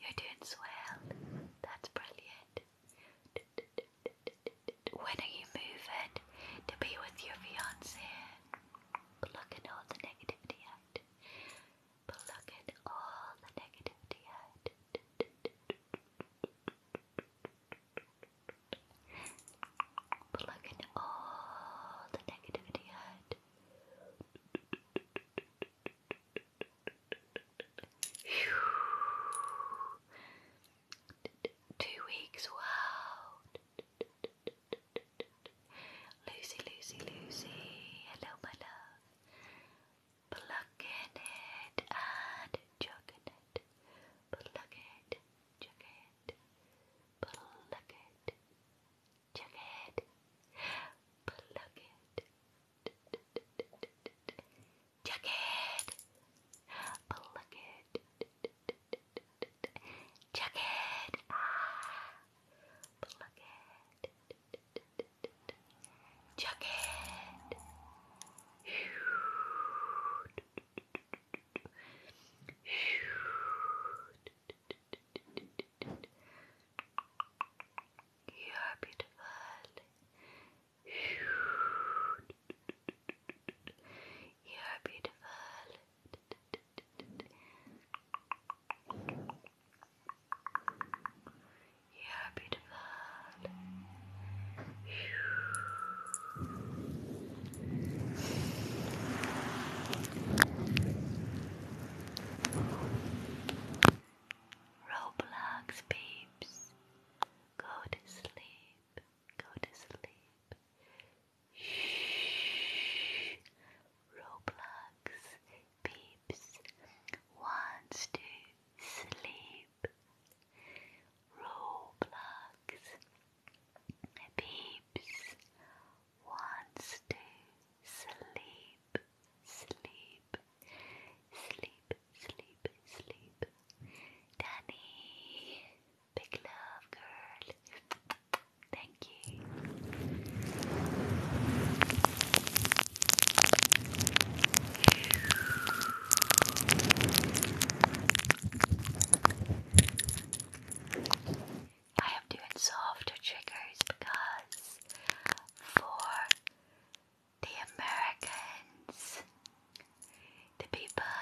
You're doing swell. That's brilliant. When are you moving to be with your fiance? Plucking all the negativity out. Plucking all the negativity out. Plucking all the negativity Two weeks, wow. Lucy, Lucy, Lucy, hello, my love. Plucking it and chugging it. Pluck it, chuck it, pluck it, Check it. Plug it. Check it. Plug it. Check it. Plug it. Check it. Check it. You are beautiful. You are beautiful. You are beautiful. Roblox peeps, go to sleep, go to sleep. Shh. Roblox peeps wants to sleep. Roblox peeps wants to sleep, sleep, sleep, sleep, sleep. Danny, big love, girl. Thank you. I am doing softer triggers because for the Americans, the people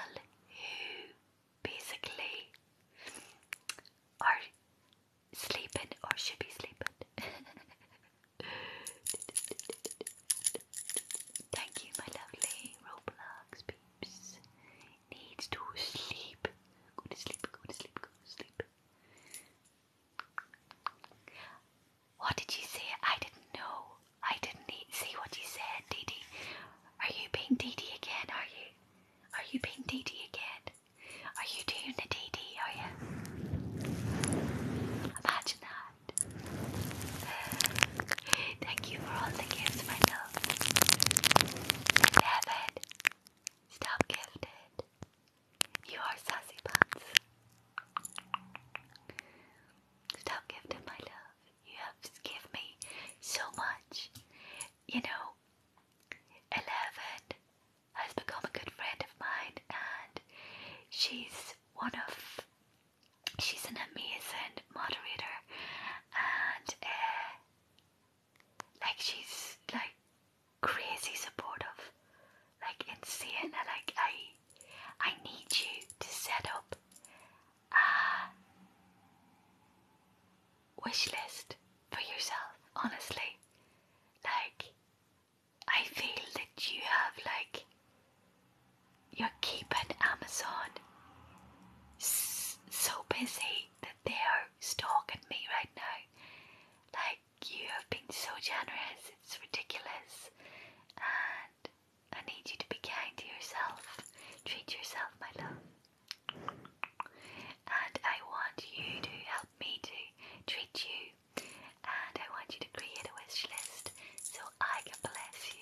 who basically are sleeping or should be sleeping. Thank you, my lovely Roblox peeps. Needs to sleep. Go to sleep, go to sleep, go to sleep. What did you say? I didn't know. I didn't see what you said, Dee Dee. Are you being Dee Dee again? Are you? Are you being Dee Dee again? Are you doing the Dee Dee? Are you? Imagine that. Thank you for all the gifts, my love. Seven. Stop gifted. You are sassy pants. Stop gifting my love. You have given me so much. You know, Eleven has become a good friend of mine, and she's one of. She's an amazing moderator, and uh, like she's like crazy supportive, like insane. And like I, I need you to set up a wish list for yourself. Honestly, like I feel that you have like you're keeping Amazon so busy that they are stalking me right now. Like you have been so generous, it's ridiculous. And I need you to be kind to yourself. Treat yourself, my love. And I want you to help me to treat you. And I want you to create a wish list so I can bless you.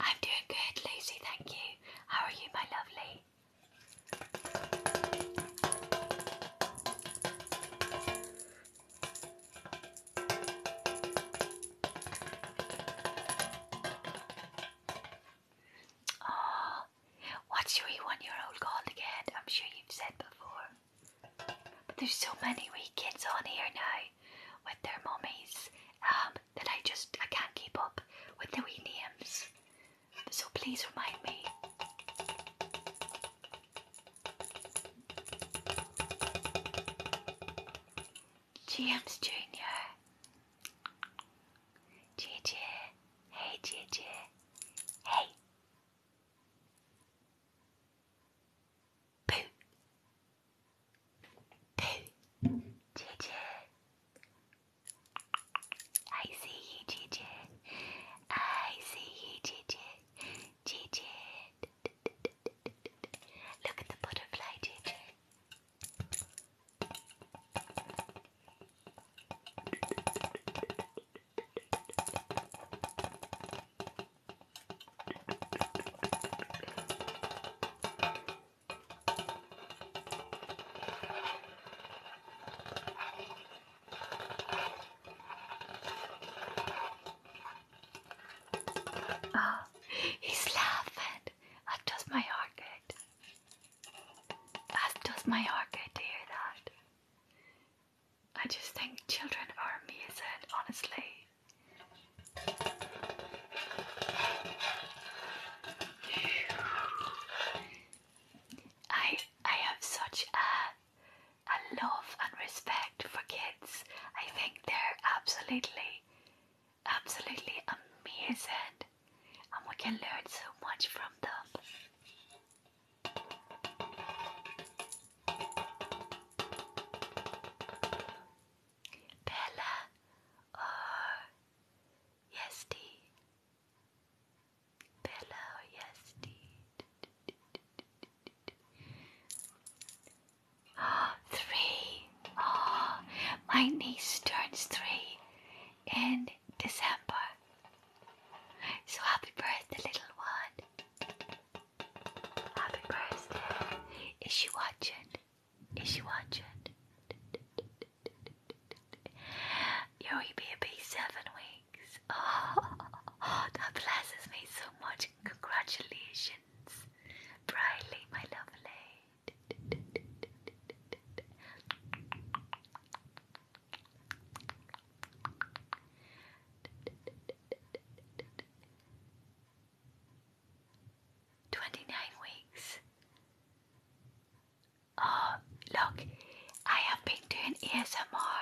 I'm doing good, Lucy, thank you. How are you, my lovely? Oh, what's your one year old called again? I'm sure you've said before. But there's so many wee kids on here now with their mummies um, that I just I can't keep up with the wee names. So please remind me. James Jr. JJ. Hey JJ. Hey. Pooh. Boo! Gigi! I see you, Gigi. I see you, Gigi. Gigi. Look at the butterfly, Gigi. Oh, he's laughing. That does my heart good. That does my heart good to hear that. I just think children are amazing, honestly. I I have such a a love and respect for kids. I think they're absolutely absolutely amazing and we can learn so much from them. Bella or oh, Yesti? Bella or Yesti? Oh, ah, three. Oh, my niece turns three in December. So happy birthday, little one. Happy birthday. Is she watching? Is she watching? Yo, he be a seven weeks. Oh, that blesses me so much. Congratulations, Briley, my lovely. 29 weeks. Oh, look, I have been doing ASMR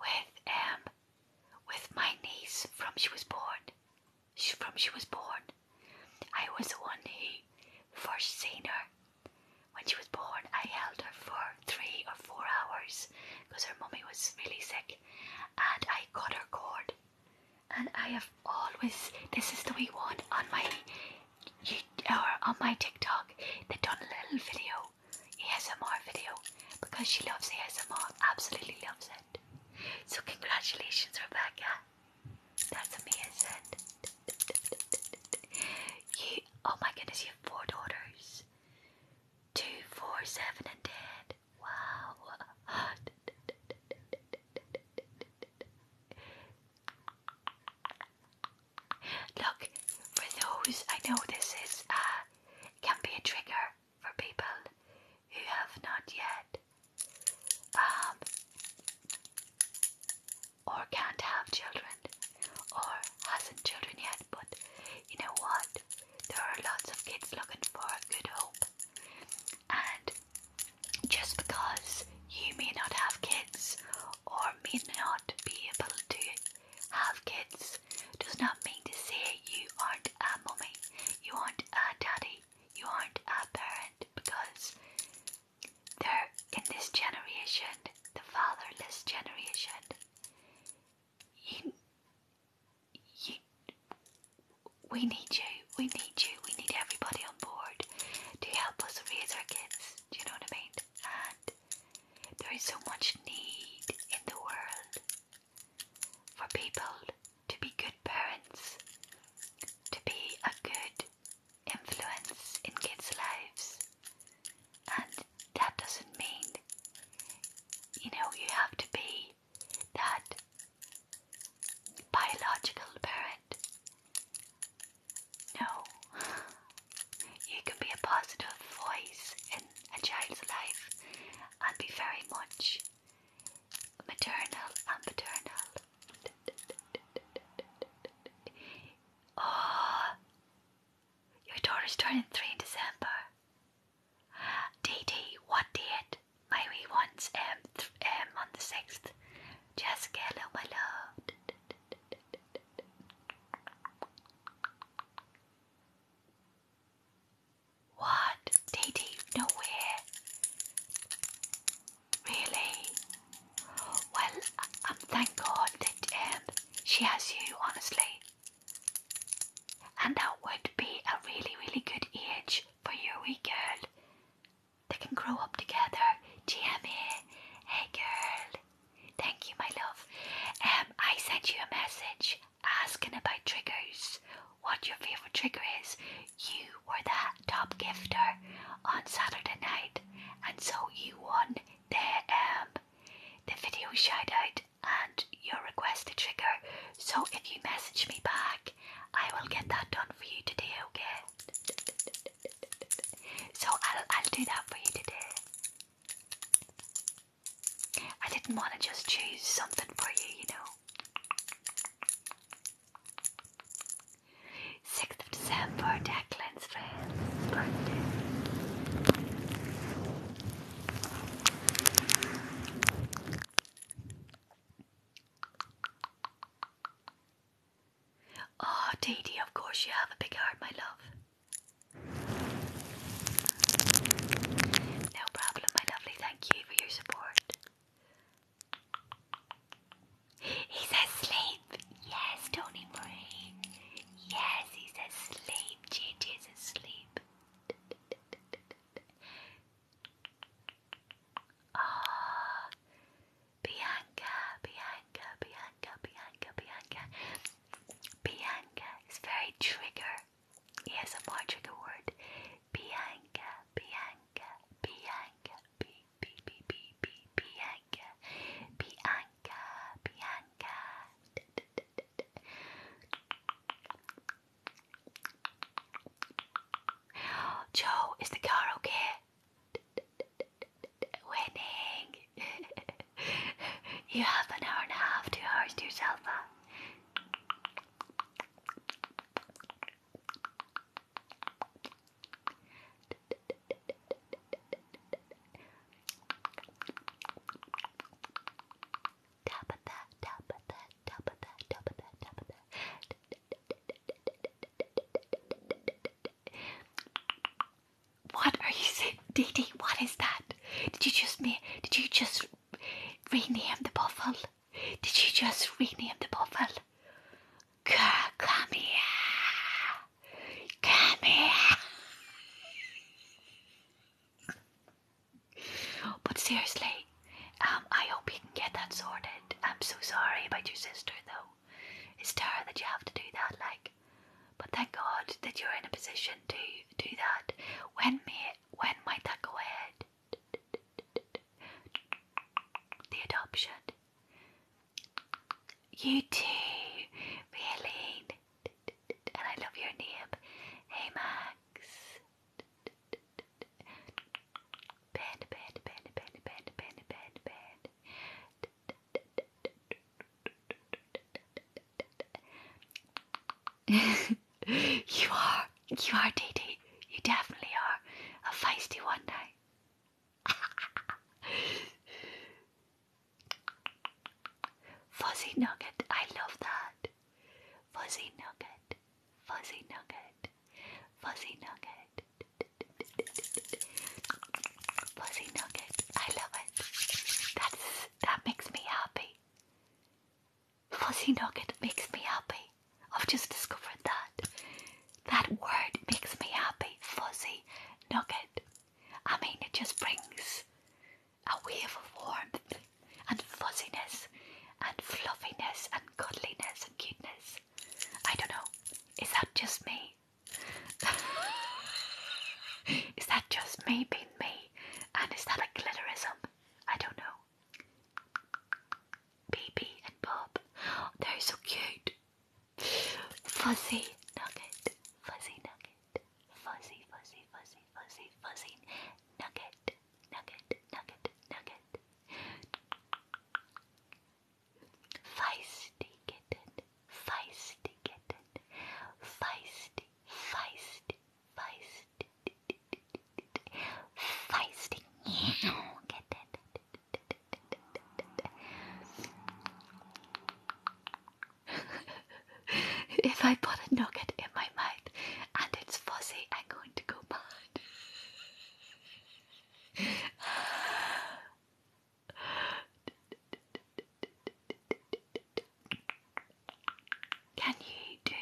with um with my niece from she was born. She from she was born. I was the one who first seen her when she was born. I held her for three or four hours because her mummy was really sick, and I cut her cord and I have always this is the wee one on my or on my TikTok that done a little video ASMR video because she loves ASMR absolutely loves it so congratulations Rebecca that's amazing you oh my goodness you have four daughters two four seven and ten Wow. Look, for those, I know this is uh, can be a trigger for people who have not yet um, or can't have children or hasn't children yet. But you know what? There are lots of kids looking for a good hope and just because you may not have kids or may not be able to have kids does not mean to say you aren't a mummy, you aren't a daddy, you aren't a parent because there in this generation, the fatherless generation, you, you we need you, we need you, we need everybody on board to help us raise our kids. Do you know what I mean? And there is so much need in the world for people to be good parents, to be a good influence in kids' lives. And that doesn't mean, you know, you have to be that biological parent. No, you can be a positive voice in a child's life and be very much maternal and paternal. Oh, your daughter's turning three in December. Dee Dee, what date? Maybe wee ones M on the sixth. Jessica, hello my love. What? Didi? No way. Really? Well, I'm um, thank God that um, she has you, honestly. And that would be a really, really good age for your wee girl they can grow up together. GMA. Hey girl. Thank you, my love. Um, I sent you a message asking about triggers. What your favourite trigger is. You were the top gifter on Saturday night, and so you won the um the video shout out and your request requested trigger. So if you message me back, I will get that done for you today, okay? So I'll I'll do that for you today. I didn't want to just choose something for you, you know. 6th of December, Declan's friend. Oh, Dee Dee, of course you have a big heart, my love. No problem, my lovely. Thank you for your support. He's asleep. Yes, Tony Marie. Yes, he's asleep. Ginger's asleep. Ah, Bianca, Bianca, Bianca, Bianca, Bianca. Bianca is very trigger. Yes, a more trigger word. Bianca, Bianca, Bianca, B, B, B, B, B, Bianca, Bianca, Bianca. Da, da, da, da, da. Joe, is the car okay? Winning! you have an hour and a half, two hours to yourself Tap that, tap that, tap that, tap that, tap that, what are you saying, Dee Dee? What is that? Did you just me? Did you just rename the buffalo? Did you just rename the buffalo? come here. Come here. But seriously, um, I hope you get that sorted. I'm so sorry about your sister, though. It's terrible that you have to do that, like. But thank God that you're in a position to do that. When may when might that go ahead? The adoption. You too, really. And I love your name. Hey Max. Bed, bed, bed, bed, bed, bed, bed, bed. you are, you are, Dee You definitely are a feisty one night. Fuzzy Nugget, I love that. Fuzzy Nugget, Fuzzy Nugget. Fuzzy Nugget. Fuzzy Nugget. I love it. That's that makes me happy. Fuzzy Nugget makes me happy. I've just discovered that. That word makes me happy. Fuzzy Nugget. I mean it just brings a wave of warmth and fuzziness and fluffiness and cuddliness and cuteness I don't know. Is that just me? is that just me being me? And is that a glitterism? I don't know. Baby and Bob. Oh, they're so cute. Fuzzy nugget. Fuzzy nugget. Fuzzy, fuzzy, fuzzy, fuzzy, fuzzy. Nugget. Nugget. Nugget. Nugget. Feisty kitten, feisty kitten, feisty, feisty, feisty, feisty, kitten. if I put a nugget in my mouth and it's fuzzy, I'm going to go mad. Can you do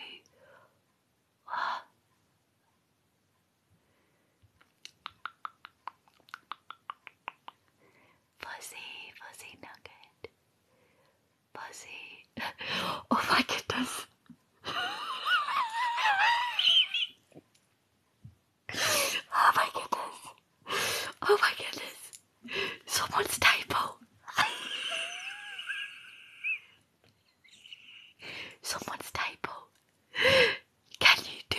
Fuzzy, fuzzy nugget. Fuzzy. Oh my goodness. Oh my goodness. Oh my goodness. Someone's typo. Someone's typo. Can you do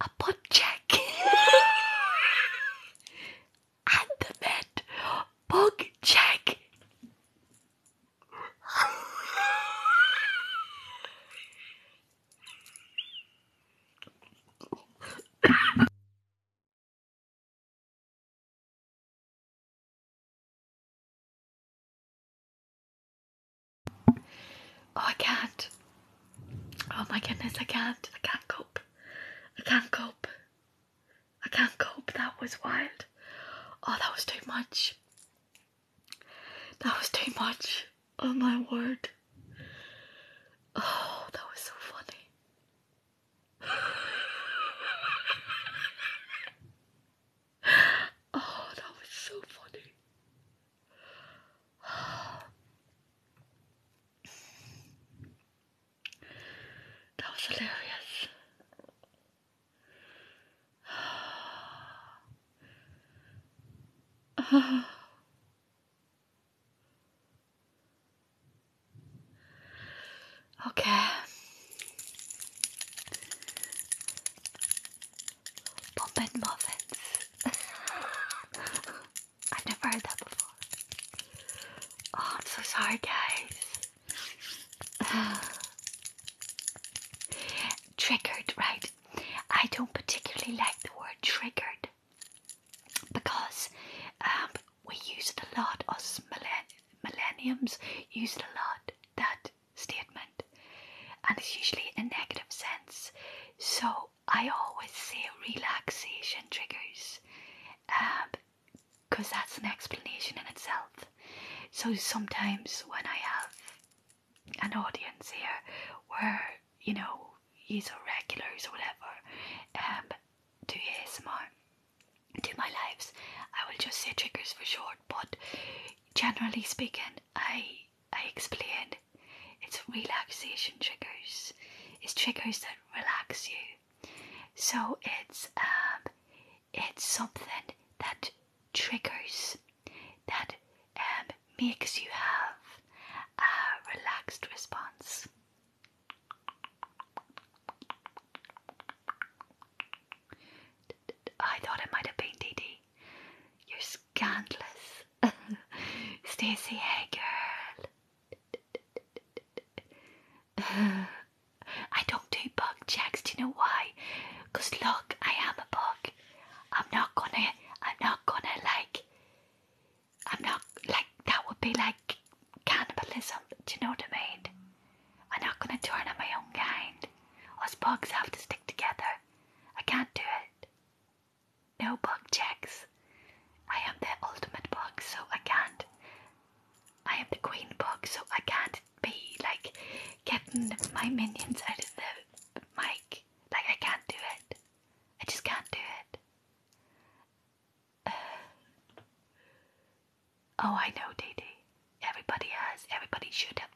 a pod check? and the med bug check oh, I can't. Oh my goodness, I can't. I can't cope. I can't cope. I can't cope. That was wild. Oh, that was too much. That was too much. Oh my word. Oh, that was so funny. oh, that was so funny. that was hilarious. Oh. Okay. Pumpkin muffins. I've never heard that before. Oh, I'm so sorry, guys. triggered, right? I don't particularly like the word triggered because um, we use it a lot, us millenniums use it a lot, that statement, and it's usually in a negative sense. So I always say relaxation triggers because um, that's an explanation in itself. So sometimes when I have an audience here where you know you or regulars or whatever um, To do ASMR to my lives I will just say triggers for short but generally speaking I I explain it's relaxation triggers it's triggers that relax you so it's um it's something that triggers that um, makes you have a relaxed response. I thought it might have been DD. You're scandalous. Stacey, hey girl. I don't do bug checks, do you know why? Because look, I am a bug. I'm not gonna I'm not gonna like I'm not like that would be like cannibalism, do you know what I mean? I'm not gonna turn on my own kind. Us bugs have to stick together. I can't do it. No bug checks. I am the ultimate bug, so I can't. I am the queen bug, so I can't be like getting my minions out of the mic. Like I can't do it. I just can't do it. Uh, oh, I know, Dee Dee. Everybody has. Everybody should have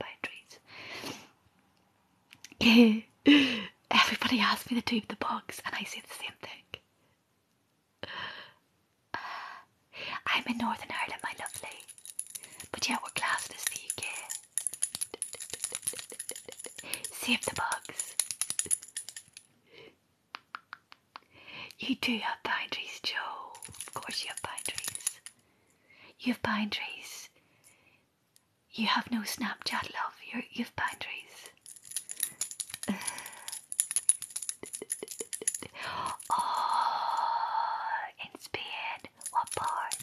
boundaries. Everybody asks me to do the box, and I say the same thing. I'm in Northern Ireland, my lovely. But yeah, we're classless, as Save the bugs. You do have pine trees, Joe. Of course, you have pine trees. You have pine trees. You have no Snapchat, love. you you have pine trees. oh, What part?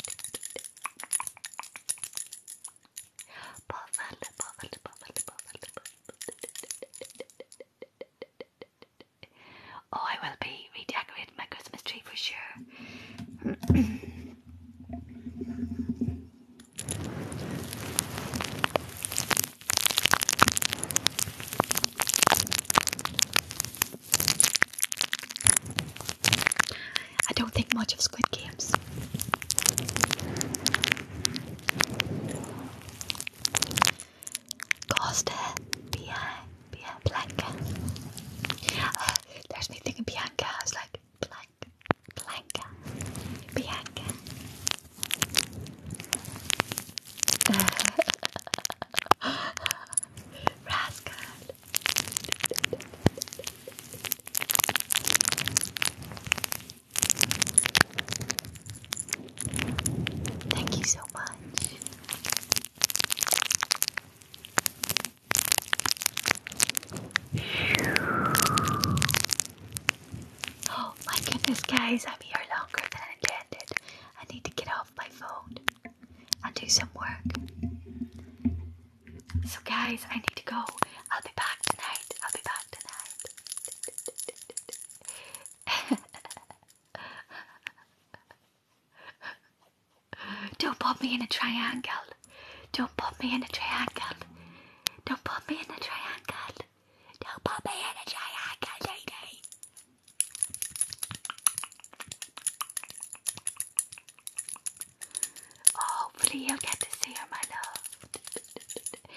Oh, I will be redecorating my Christmas tree for sure. I don't think much of Squid Games. Costa, uh, behind, uh, there's me thinking Bianca. I was like, Blanca, Blanca, Bianca. Rascal, Thank you so much. Oh my goodness, guys, I'm here longer than intended. I need to get off my phone and do some work. So guys, I need to go. I'll be back tonight. I'll be back tonight. Don't put me in a triangle. Don't put me in a triangle. Don't put me in a triangle. Don't put me in a triangle, lady. Hopefully, oh, you'll get to see her, my love.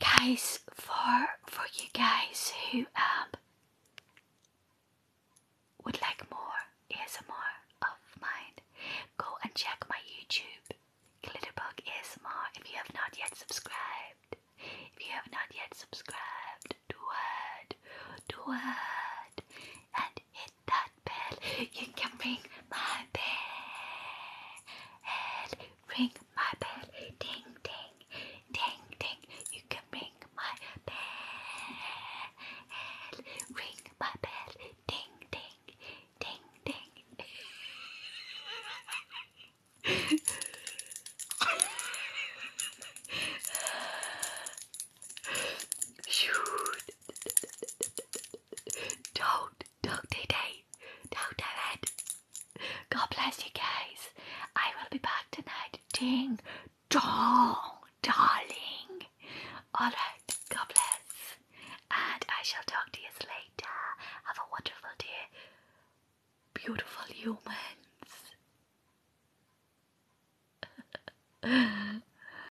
guys, for for you guys who um would like more ASMR of mine, go and check my YouTube, Glitterbug ASMR. If you have not yet subscribed, if you have not yet subscribed, do it, do it, and hit that bell. You can ring my bell. Ring my bell. Ding, ding, ding, ding. You can ring my bell. Ring my bell. Ding, ding, ding, ding. Shoot. Don't, don't today. Don't do it. God bless you guys. I will be back tonight. Ding dong, darling. Alright, God bless. And I shall talk to you later. Have a wonderful day, beautiful humans.